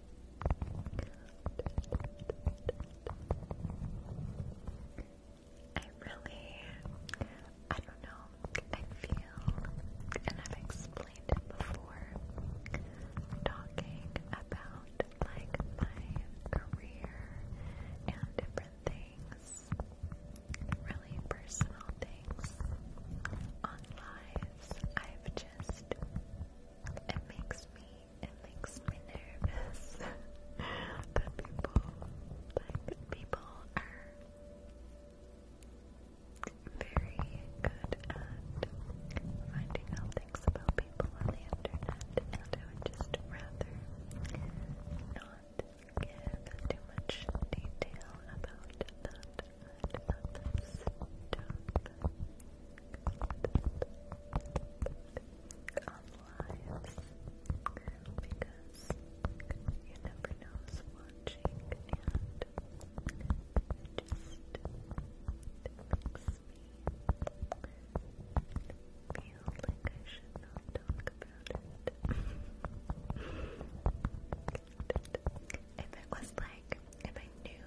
I really, I don't know, I feel, and I've explained it before, talking about like my career and different things, really personal things on lives, I've just it makes me, it makes me nervous (laughs) that people, like, people are very good at finding out things about people on the internet, and I would just rather not give too much detail about that on lives because you never know who's watching and it just makes me feel like I should not talk about it. (laughs) if it was like if I knew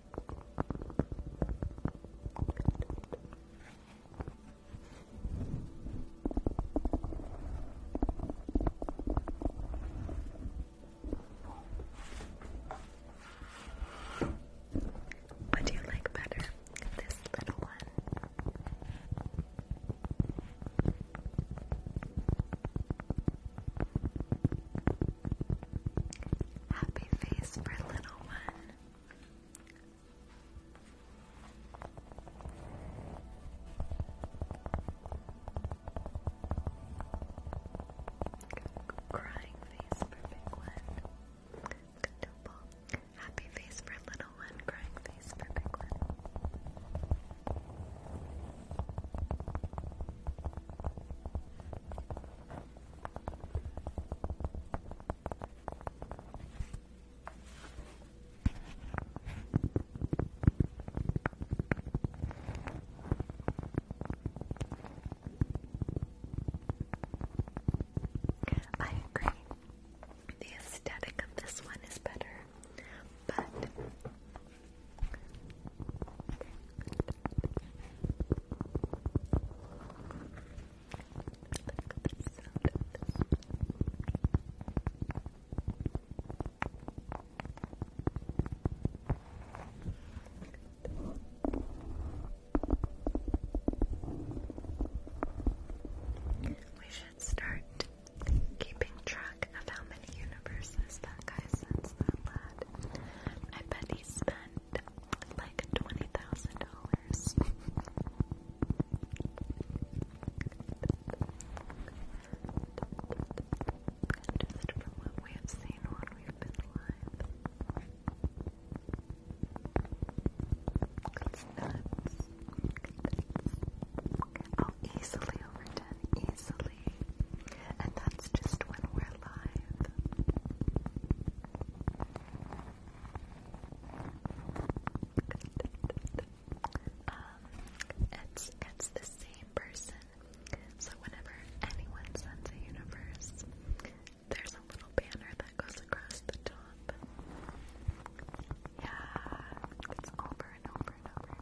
What do you like better? This little one. Happy face for little one. Crying face for big one. Double. Happy face for little one. Crying face for big one. I agree. The aesthetic of this one is better, but we should start keeping track of how many universes that guy sends that lad. I bet he spent like twenty thousand dollars. Just from what we have seen when we've been live. Oh, easily over ten, easily. And that's just when we are live. Um, it's it's the same person. So whenever anyone sends a universe, there's a little banner that goes across the top. Yeah, it's over and over and over.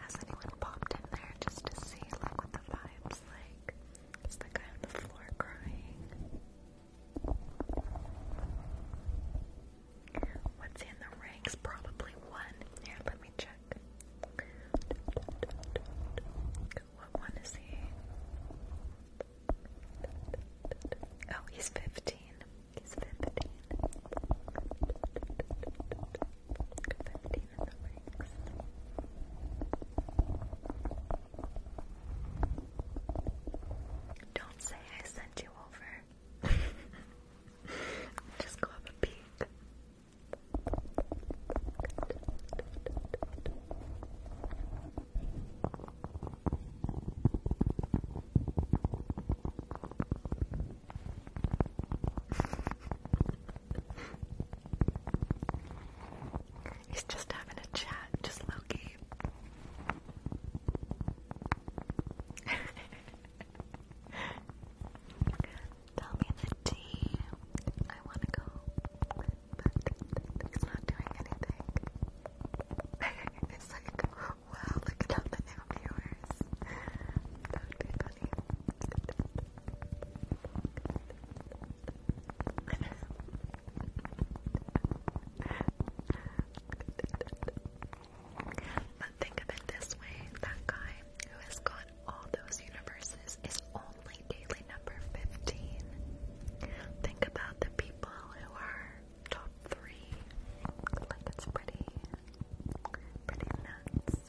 Has anyone popped in there just to see like what the vibe's like? Is the guy on the floor crying? What's in the ranks? Probably one. Here, let me check. What one is he? Oh, he's 15 he's Don't say I sent you over. (laughs) Just go have a peek. He's just having a chat, just Loki. (laughs) Tell me the tea. I want to go, but it's not doing anything. (laughs) it's like, wow, look at all new viewers. but think of it this way, that guy who has got all those universes is only daily number 15. Think about the people who are top three. Like it's pretty pretty nuts. (laughs) Good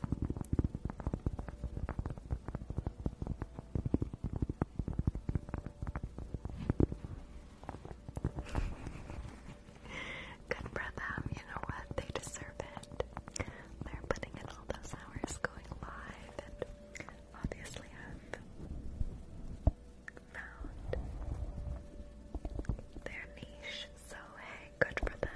for them, you know what? They deserve it. They're putting in all those hours going live and obviously have found their niche, so hey, good for them.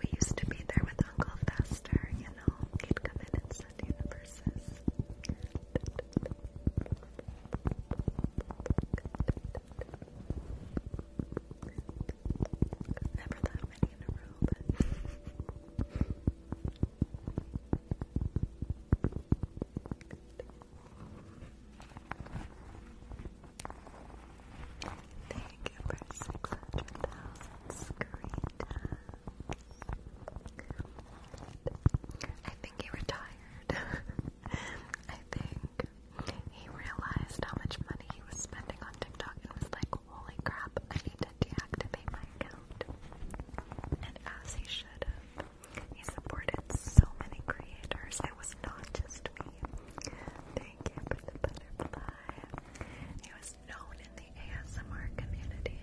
We used to be there with Uncle Fester, you know, he'd come in and send the verses. Never that many in a row, but. Thank you for 600,000 screen I think he retired. (laughs) I think. He realized how much money he was spending on TikTok and was like, holy crap, I need to deactivate my account. And as he should have, he supported so many creators. It was not just me. Thank you for the butterfly. He was known in the ASMR community.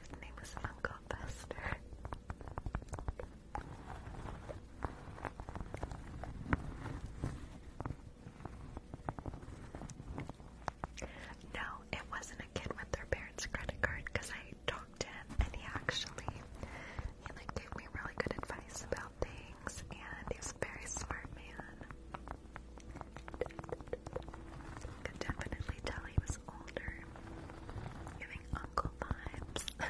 His name is Uncle Buster. No, it wasn't a kid with their parents' credit card because I talked to him and he actually he like gave me really good advice about the and he was a very smart man. Could definitely tell he was older, giving uncle vibes.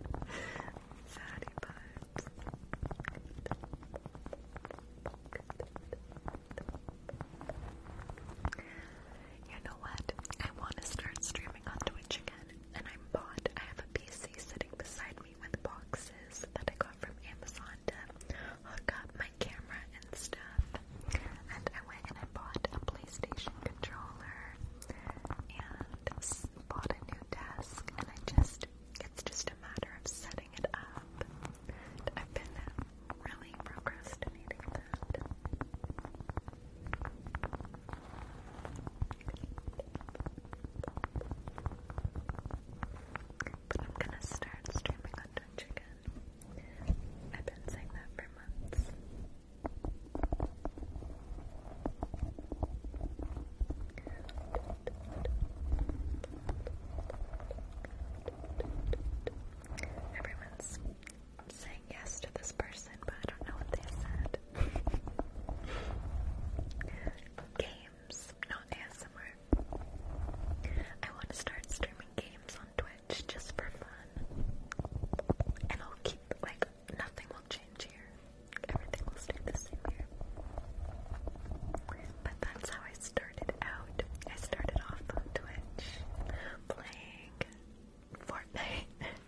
(laughs) Sadie vibes. You know what? I want to start streaming on Twitch again and i bought. I have a PC sitting beside me with boxes that I got from Amazon to hook up my camera and stuff. And I went and I bought a PlayStation controller and bought a new desk, and I just it's just a matter of setting it up. I've been really procrastinating I'm gonna start streaming on Twitch again. I've been saying that for months. Everyone's saying yes to this person, but I don't know what they said. Games, not ASMR. I want to start streaming games on Twitch just for fun. And I'll keep, like, nothing will change here. Everything will stay the same here. But that's how I started out. I started off on Twitch playing Fortnite. (laughs)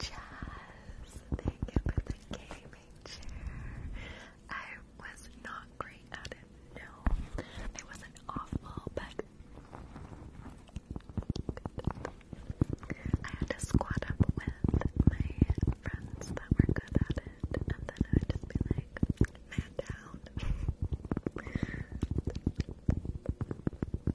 Jazz, thank you the gaming chair. I was not great at it, no. I wasn't awful, but I had to squat up with my friends that were good at it, and then I just be man down. (laughs)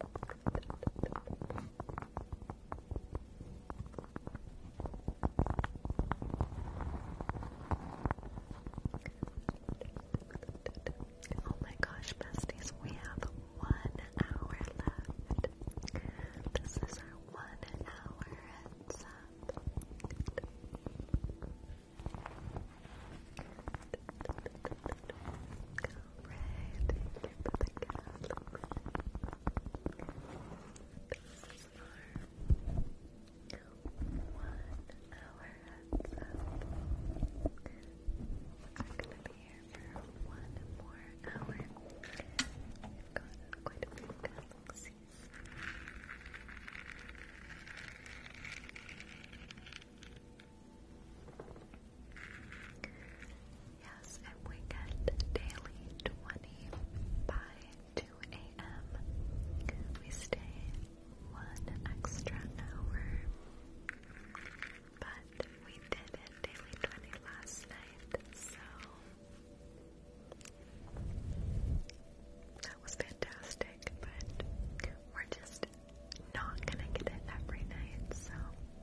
Oh my gosh, besties, we have one hour left. This is our one hour heads Red, thank you for the Catholics. This is our one-hour heads up. We're gonna be here for one more hour. We've got quite a few uh, galaxies. Yes, and we get daily 20 by 2 a.m. We stay one extra hour. But we did it daily 20 last night, so that was fantastic, but we're just not gonna get it every night, so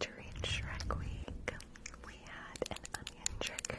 During Shrek Week, we had an onion trigger.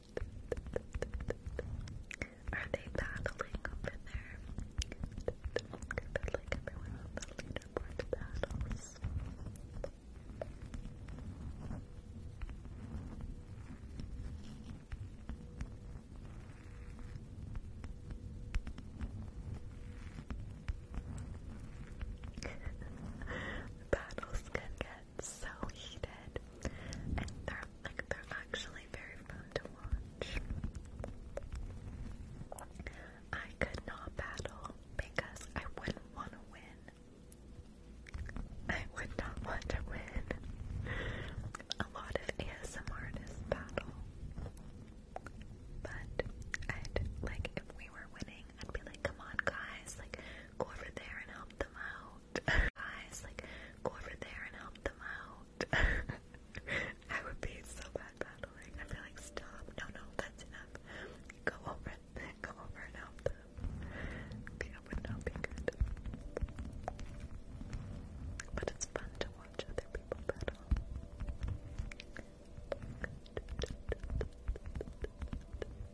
Are they battling over there? Like everyone on the battles. (laughs) Battles can get so heated, and they're like they're actually very fun to watch. I could not battle because I wouldn't want to win. I would not want to win. A lot of ASM artists battle, but I'd like if we were winning, I'd be like, "Come on, guys! Like, go over there and help them out." Guys, like, go over there and help them out. (laughs) I would be so bad battling. I'd like, stop. No, no, that's enough. Go over. Go over and help them. Yeah, it be good. But it's fun to watch other people battle. (laughs)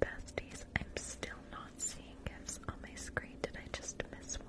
besties, I'm still not seeing gifts on my screen. Did I just miss one?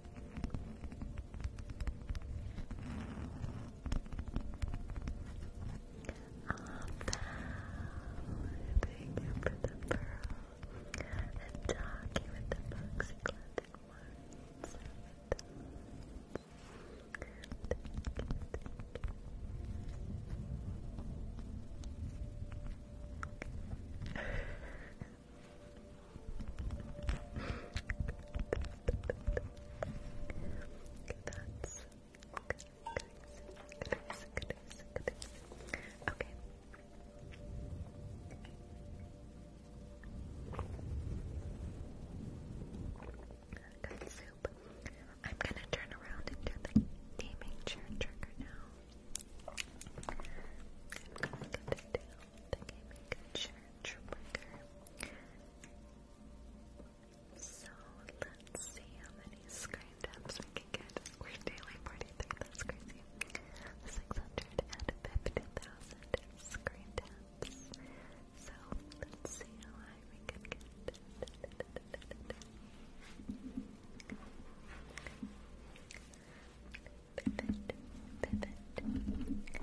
thank you for the pearl and talking with the bugs and collecting that's okay. Good soup. I'm gonna turn around and the gaming chair trigger now. I'm gonna get to the gaming trigger. So let's see how many screen taps we can get. We're daily 43, that's 650,000 screen taps. So let's see how high we can get pivot, pivot, pivot. Pivot,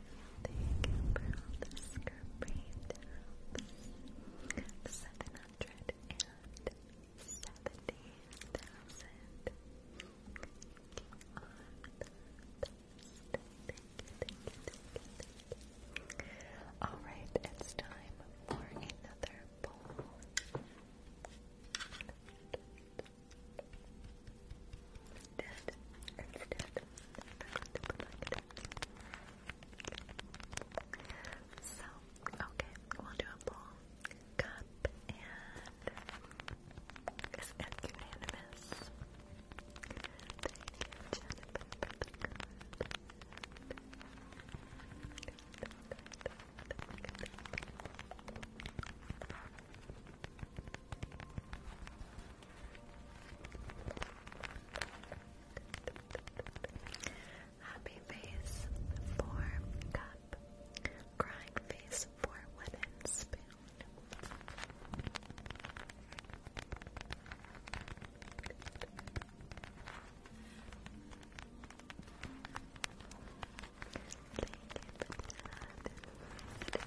Seven hundred and seventy thousand. Alright, it's time for another poll. So, okay, we'll do a bowl, cup, and is it unanimous? Thank you, Jennifer, for the card. Okay, Happy face for cup. Crying face for wooden thank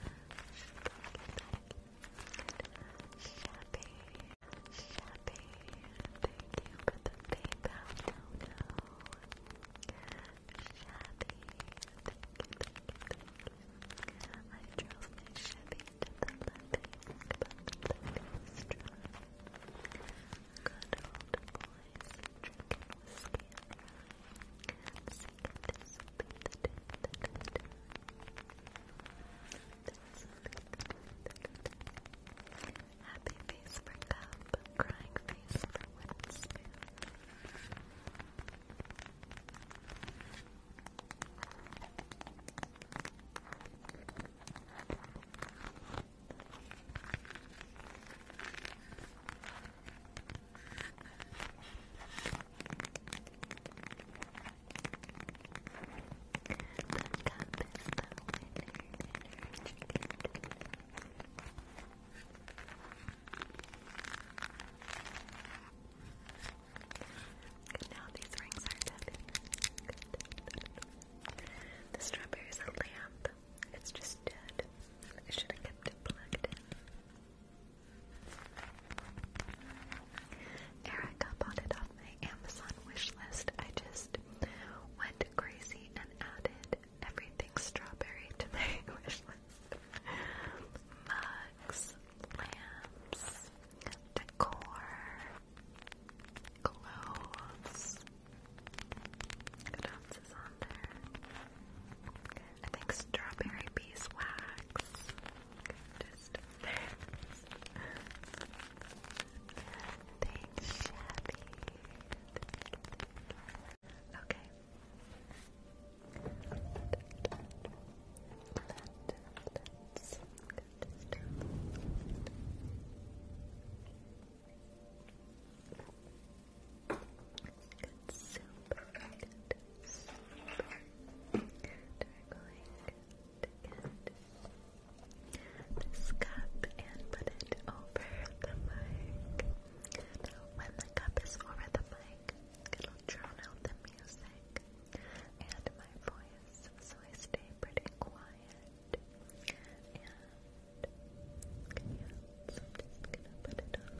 you, Shabby, Shabby, thank you for the PayPal dono. Shabby, thank you, thank you, thank you. I drove my Chevy to the living, but the living was dry. Good old boys, drinking whiskey and rye. Singing this beat, the day, the day, the day. The Happy face for cup, crying face for wooden spoon. Good now, these rings are tapping. The strawberry is a lamp. It's just dead. I should have kept it plugged in. Erica bought off my Amazon wish list. I just went crazy and added everything strawberry to my (laughs) wish list. Mugs, lamps, decor, clothes. What else is on there? I think strawberry beeswax. Just friends. Shabby. Okay. Let's Good soup. Good soup this cup and put it over the mic. When the cup is over the mic, it'll drown out the music and my voice, so I stay pretty quiet. And yeah, gonna put it on.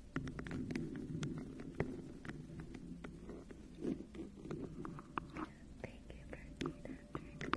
Thank you for Peter. Thank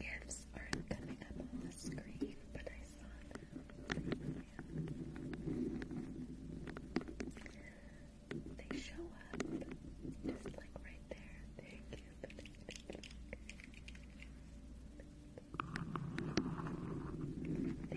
Gifts are coming up on the screen, but I saw them. They show up just like right there. Thank you. Thank you. Thank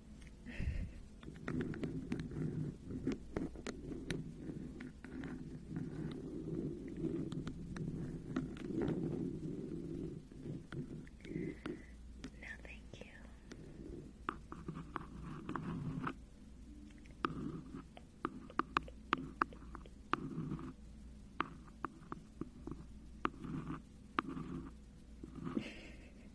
No, thank you. (laughs)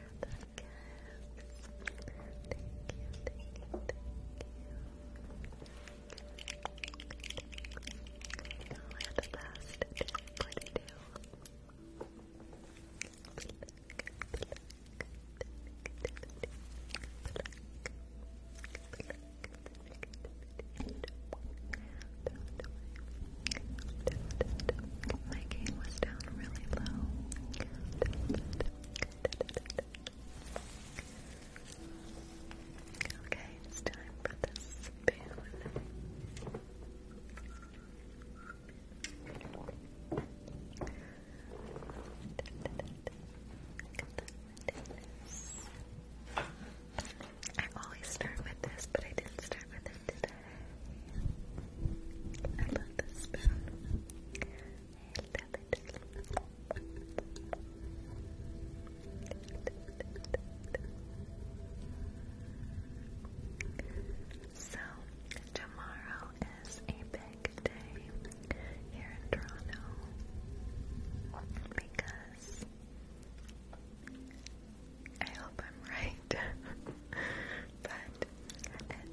for the gifts. Thank you, thank you, thank you. Oh, we're the best. Forty two. My game was down really low. Okay, it's time for the spoon. I always start with this, but I didn't start with it today. I love this spoon. So, tomorrow is a big day here in Toronto because I hope I'm right. (laughs) but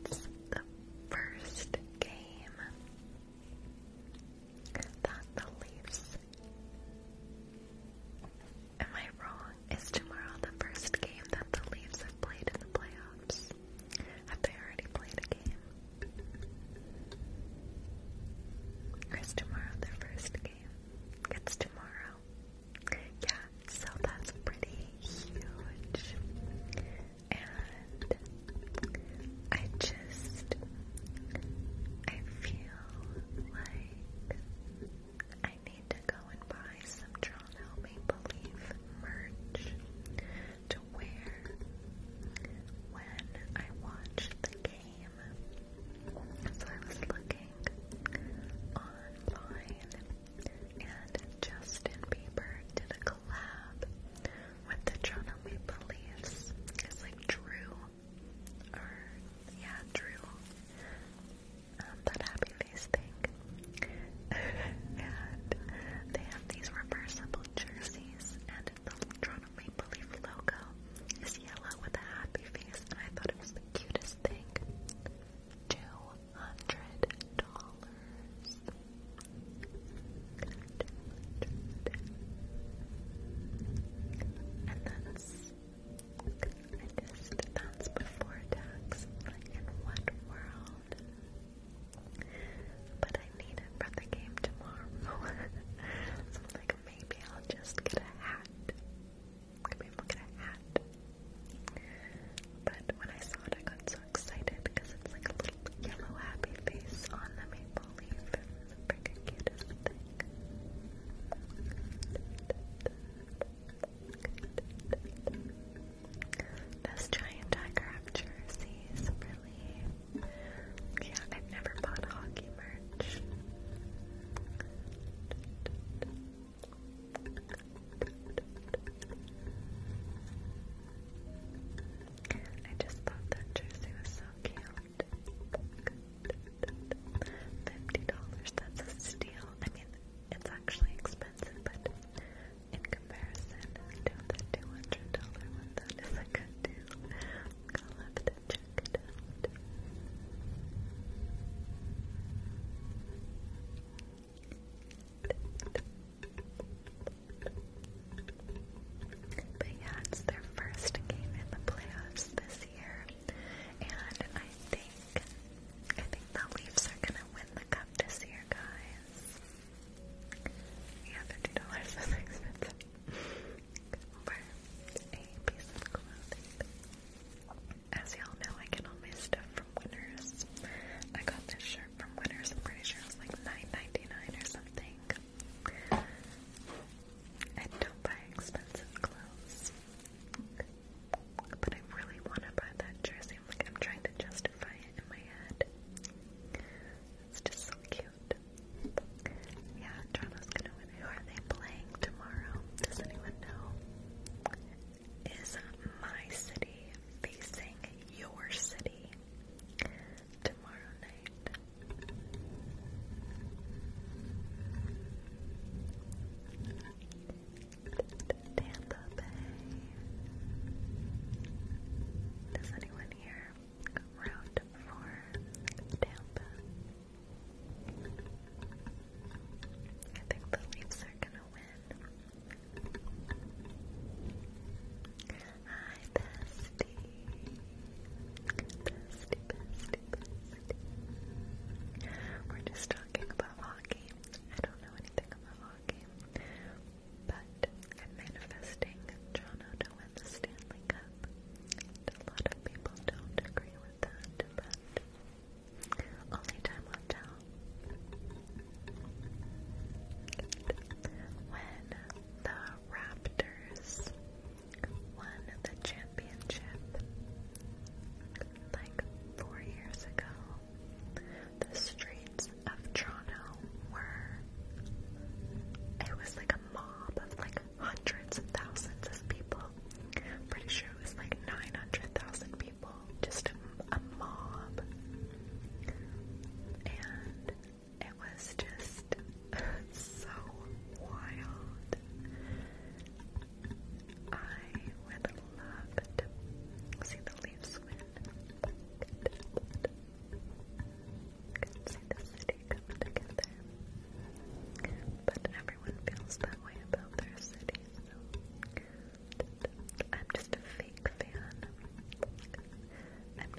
it's the first game that the Leafs. Am I wrong? Is tomorrow the first game that the Leafs have played in the playoffs? Have they already played a game? Or is tomorrow their first game? It's tomorrow. Yeah, so that's pretty huge and I just I feel like I need to go and buy some Toronto Maple Leaf merch to wear when I watch the game. So I was looking online and Justin Bieber did a collab with the Toronto Maple Leafs is like Drew, or yeah, Drew, um, that happy face thing. (laughs) and they have these reversible jerseys, and the Toronto Maple Leaf logo is yellow with a happy face, and I thought it was the cutest thing. Two hundred dollars. And that's I just that's before tax. Like in what world? But I need for the game tomorrow. (laughs) so like maybe I'll just get a hat. Maybe I'll get a hat. But when I saw it, I got so excited because it's like a little yellow happy face on the maple leaf. freaking cutest thing. Those giant tiger jerseys, really. Yeah, I've never bought hockey merch. I just thought that jersey was so cute. Fifty dollars, that's a steal. I mean, it's actually expensive, but in comparison to the two hundred dollar one, that is a good deal. I'll have to check it out. But yeah, it's their first game in the playoffs this year. And I think I think the Leafs are gonna win the cup this year, guys. Yeah, fifty dollars is (laughs) expensive. Over a piece of clothing. As y'all know, I get all my stuff from Winners. I got this from Winners. I'm pretty sure it was like nine ninety nine or something. And don't buy expensive clothes. But I really want to buy that jersey. I'm like, I'm trying to justify it in my head. It's just so cute. Yeah, Toronto's gonna win. Who are they playing tomorrow? Does anyone know? Is my city facing your city? tomorrow night. Tampa Bay. Does anyone here route for Tampa? I think the Leafs are gonna win. Hi, bestie. Bestie, bestie, bestie. We're just talking about hockey. I don't know anything about hockey, but I'm manifesting Jono to the Stanley Cup. a lot of people don't agree with that, but only time will tell. When the Raptors won the championship like four years ago, the streets of Toronto were. It was like a mob of like hundreds and thousands of people. pretty sure it was like 900,000 people. Just a mob. And it was just so wild. I would love to see the leaves win. see the city come together. But everyone feels that way about their city, I'm just a fake fan. I'm (laughs)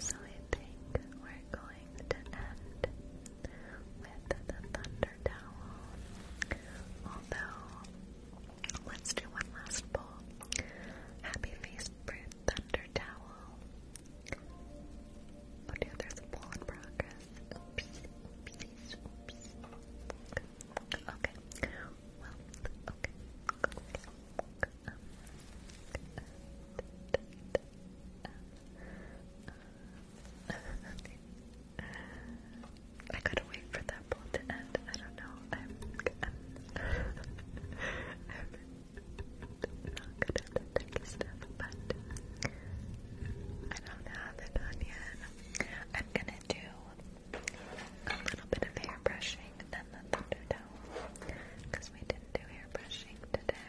So I think we're going to end with the thunder towel. Although, let's do one last pull. Happy face for thunder towel. Oh dear, there's a pull in progress. Okay, well, Okay. I gotta wait for that poll to end. I don't know. I'm, not good at the stuff, but I don't have it on yet. I'm gonna do a little bit of hair brushing and then the thunder towel because we didn't do hair brushing today.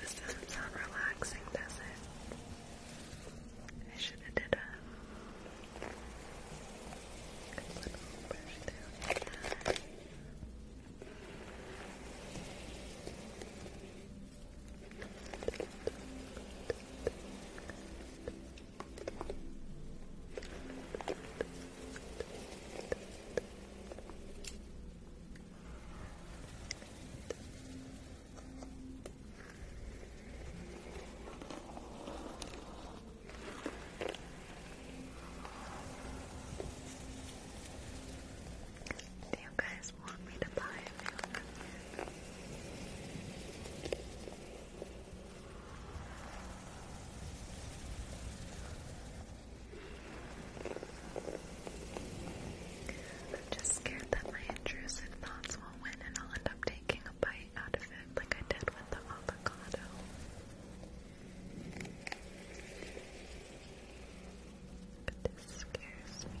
This doesn't sound relaxing, does it? I should have did a little brush there. Do you guys want me to buy a I'm just scared that my intrusive thoughts will win and I'll end up taking a bite out of it like I did with the avocado. But scares me.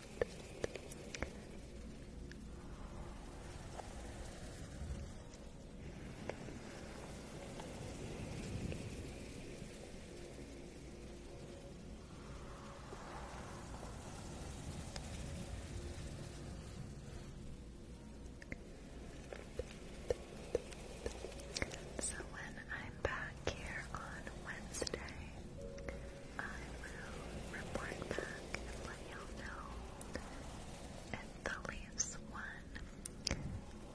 So when I'm back here on Wednesday, I will report back and let y'all know if the Leafs won.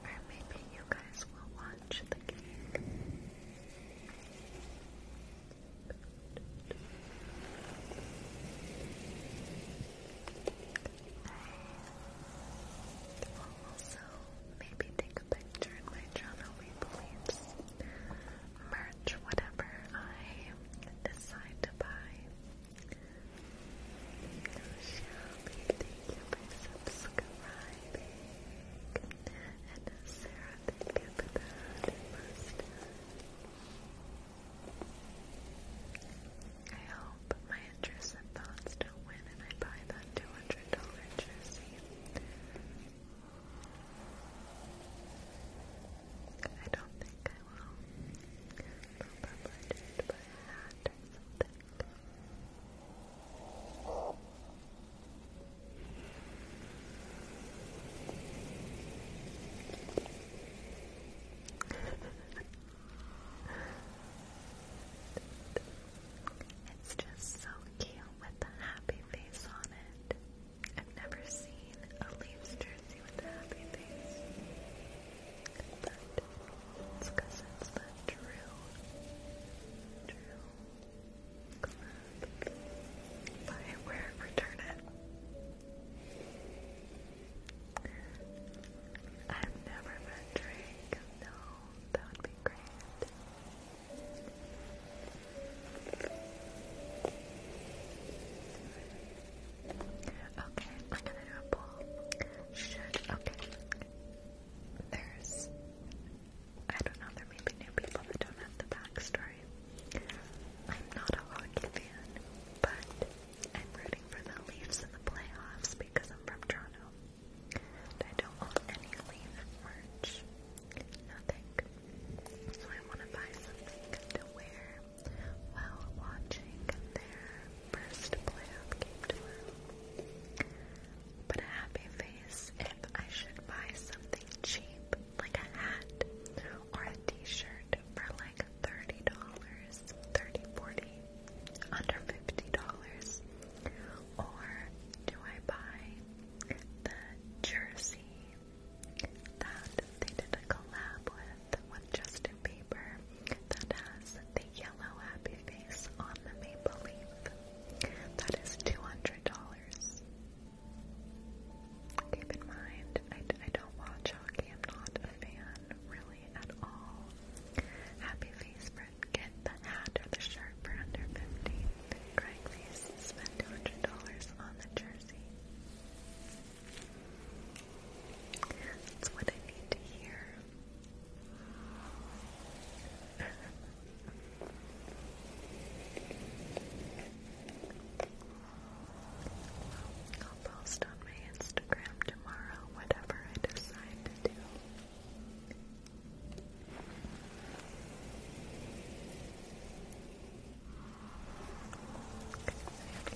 Or maybe you guys will watch the game. I will also maybe take a picture in my journal, we believe merch, whatever I decide to buy. Shelby, thank you for subscribing. And Sarah, thank you for that mustache. I hope my interests and thoughts don't win and I buy that $200 jersey. I don't think I will. I'll by a hat or something. it's just so cute with the happy face on it. I've never seen a Leafs jersey with a happy face. But because it's the true, true club. Buy it, wear it, return it. I've never met Drake. No, that would be great. Okay, I'm gonna do a poll. Should, okay. There's, I don't know, there may be new people that don't have the backstory. I'm not a hockey fan, but I'm rooting for the Leafs in the playoffs because I'm from Toronto. I don't want any Leaf merch. Nothing. So I want to buy something to wear while watching their first playoff game tomorrow. But a happy face if I should buy something cheap, like a hat or a t-shirt for like $30, 30 under $50. Or do I buy the jersey that they did a collab with with Justin Bieber that has the yellow happy face on the maple leaf. That is two hundred dollars. Keep in mind, I, I don't watch I'm not a fan really at all. Happy face for get the hat or the shirt for under fifty. Craigslist spent two hundred dollars on the jersey. Jersey. That's what I need to hear. I'll post on my Instagram tomorrow whatever I decide to do. We have a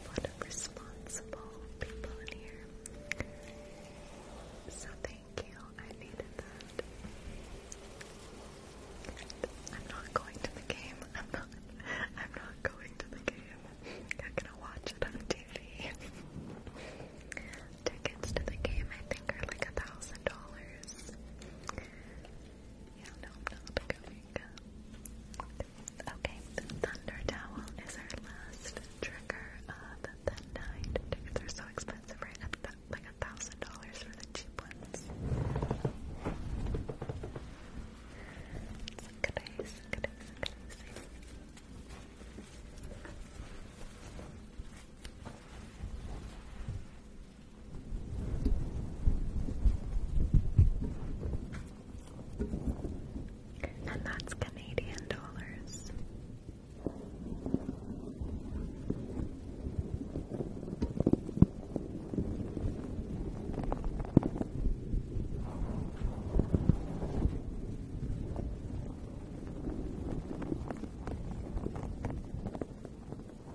lot of responsible people in here. So thank you. I needed I'm not going to the game. (laughs) I'm not I'm not going to the game. I'm gonna watch it on TV. (laughs) Tickets to the game I think are like a thousand dollars. Yeah, no, I'm not going. Okay, the Thunder Towel is our last trigger of the night. Tickets are so expensive, right? like a thousand dollars for the cheap ones. And that's Canadian dollars. I love a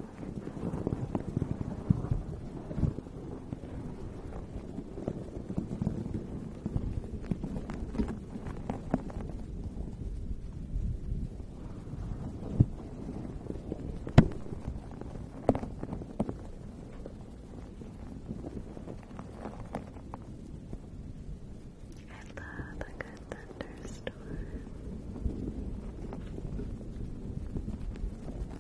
good thunderstorm.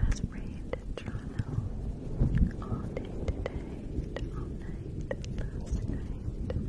has rained in Toronto all day today to all night, last night. Good night.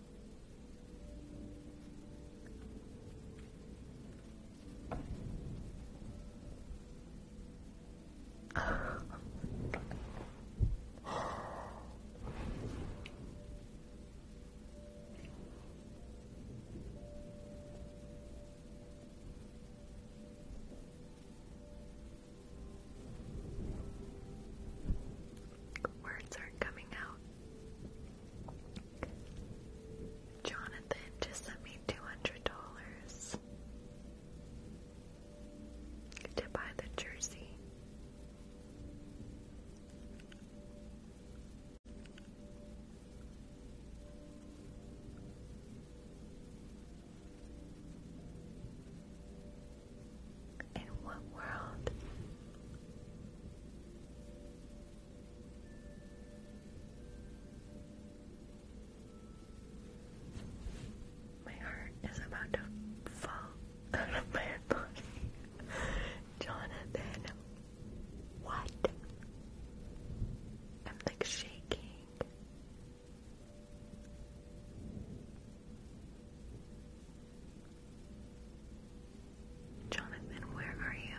Words aren't coming out. Jonathan just sent me two hundred dollars to buy the jersey. In what world my heart is about to fall out of my body. Jonathan, what? I'm like shaking. Jonathan, where are you?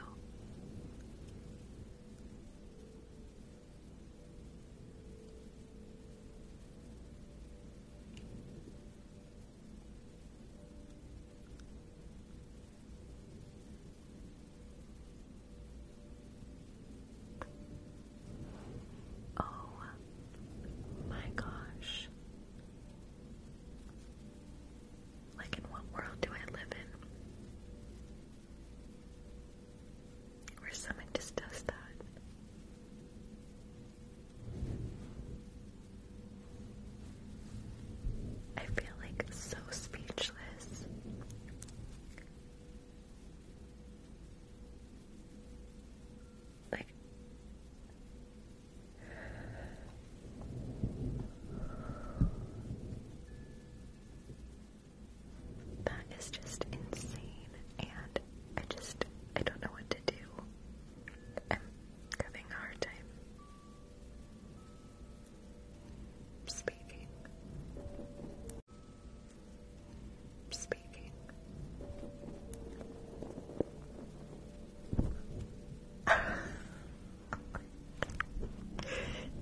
Oh my gosh. Like, in what world do I live in? Where someone just does that. I feel like so speechless. Like, that is just insane, and I just, I don't know what to do. I'm having a hard time speaking. Speaking.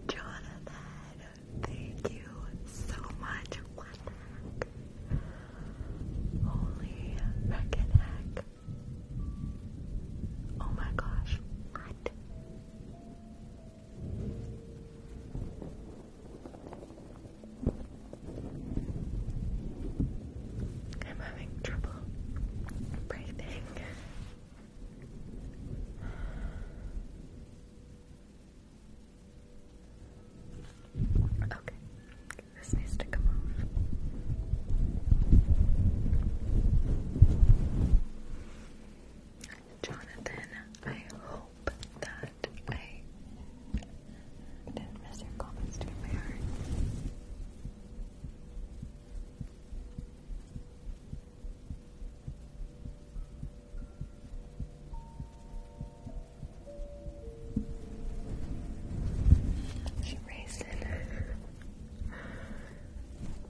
Jonathan, thank you so much. What heck? heck. Oh my gosh, what? having trouble breathing. Okay, this needs to come off. Jonathan, I hope that I didn't miss your comments to my heart. She racing.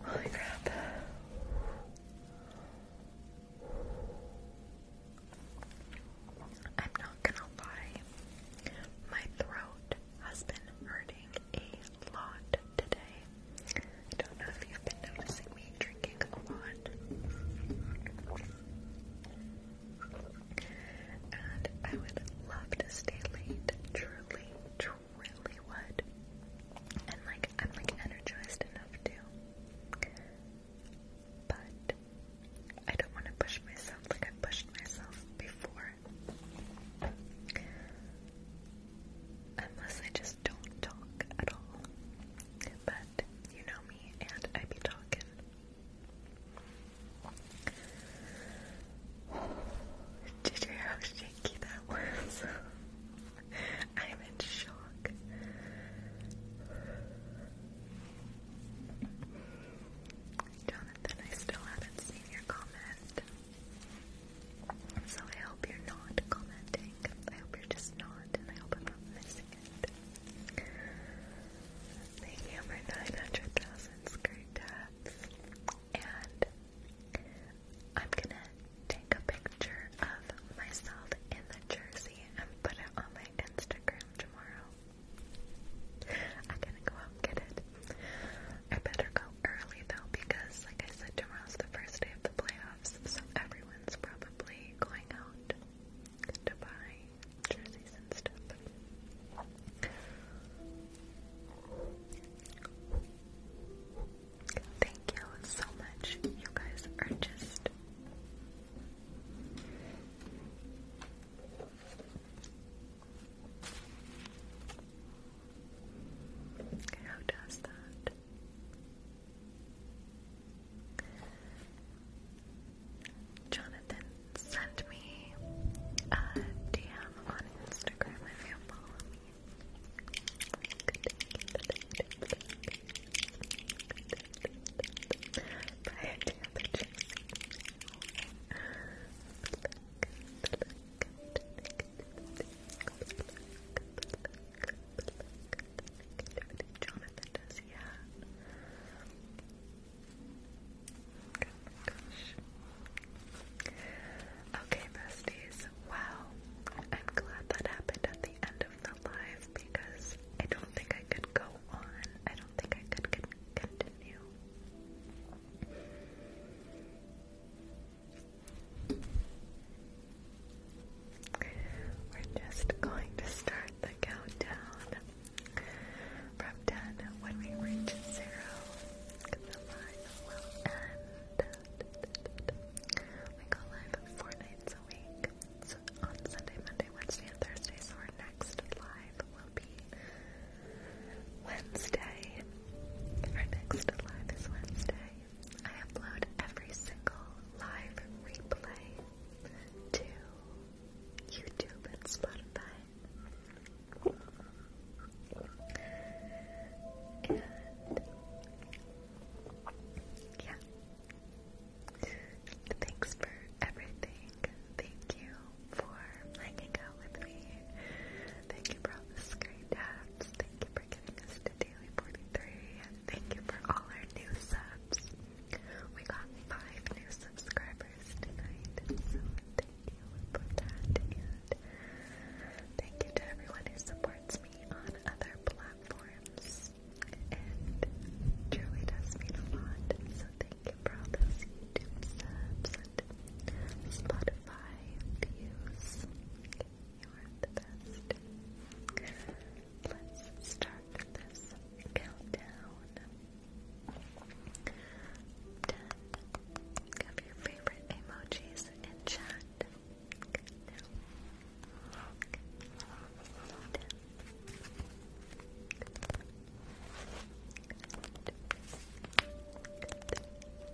Holy crap. I'm not gonna lie. My throat has been hurting a lot today. I don't know if you've been noticing me drinking a lot. And I would love to stay late. Truly, truly would. And like, I'm like energized enough to. But I don't want to push myself like I pushed myself before Unless I just don't talk at all. But you know me, and I be talking. Did you hear how shaky that was? (laughs) I'm in shock. Jonathan, I still haven't seen your comment. So I hope you're not commenting. I hope you're just not, and I hope I'm not missing it. Thank you for 900,000 skirt tabs. And I'm gonna take a picture of myself in the jersey and put it on my Instagram tomorrow. I am going to go out and get it. I better go early though because, like I said, tomorrow's the first day of the playoffs, so everyone's probably going out to buy jerseys and stuff. Thank you so much. You guys are just. How does that? Jonathan sent me a DM on Instagram if you follow me. Jonathan does, yeah. Okay, besties. Wow. I'm glad that happened at the end of the live because I don't think I could go on. I don't think I could continue. We're just going to start the countdown from 10 when we reach 0. will end. We go live four nights a week. So on Sunday, Monday, Wednesday, and Thursday. So our next live will be Wednesday. Our next live is Wednesday. I upload every single live replay to YouTube and Spotify. And yeah. Thanks for everything. Thank you for hanging out with me. Thank you for the screen taps. Thank you for giving us the Daily 43. And thank you for all our new subs. We got five new subscribers tonight. So thank you for that. And thank you to everyone who supports me on other platforms. And truly does mean a lot. So thank you for those YouTube subs and Spotify five views. You are the best. Let's start this countdown. Ten your favorite emojis in chat.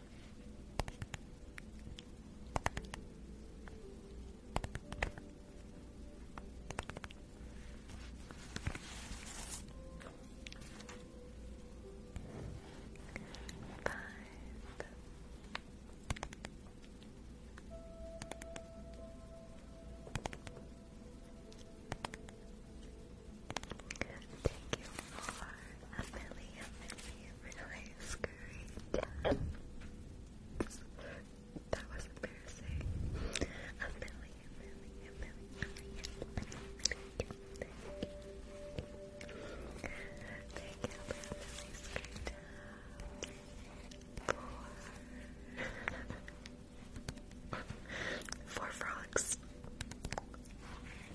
Thank you for a million, million realize, great. that was embarrassing. A million, million, million, million, million, Thank you for a really screen Four. Four frogs.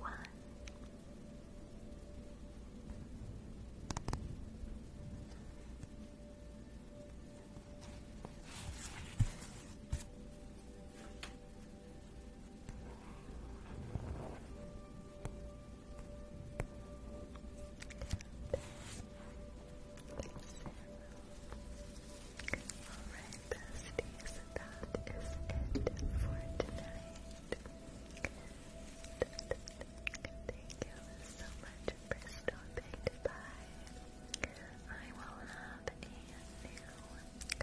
One. Seven. Alright, that is it for tonight. Thank you so much for stopping by. I will have a new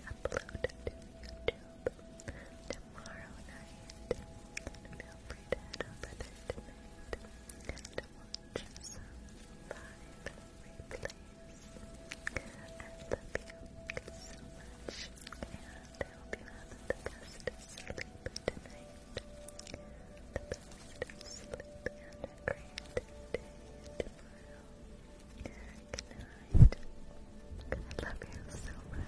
upload to YouTube tomorrow night. Feel free to head over there tonight and watch some live replays. I love you so much, and I hope you have the best sleep tonight. The best sleep and a great day tomorrow. Good night. I love you so much.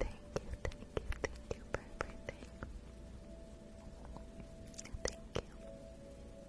Thank you, thank you, thank you for Thank you.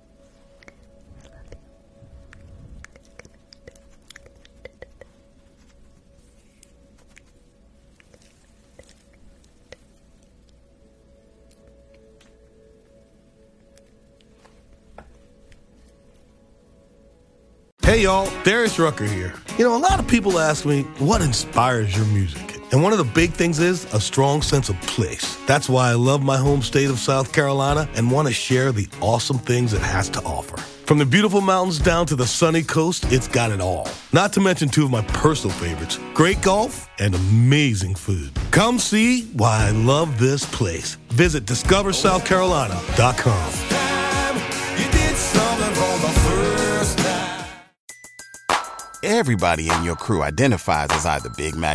Hey y'all, Darius Rucker here. You know, a lot of people ask me, what inspires your music? And one of the big things is a strong sense of place that's why I love my home state of South Carolina and want to share the awesome things it has to offer. From the beautiful mountains down to the sunny coast, it's got it all. Not to mention two of my personal favorites great golf and amazing food. Come see why I love this place. Visit discoversouthcarolina.com. Everybody in your crew identifies as either Big Mac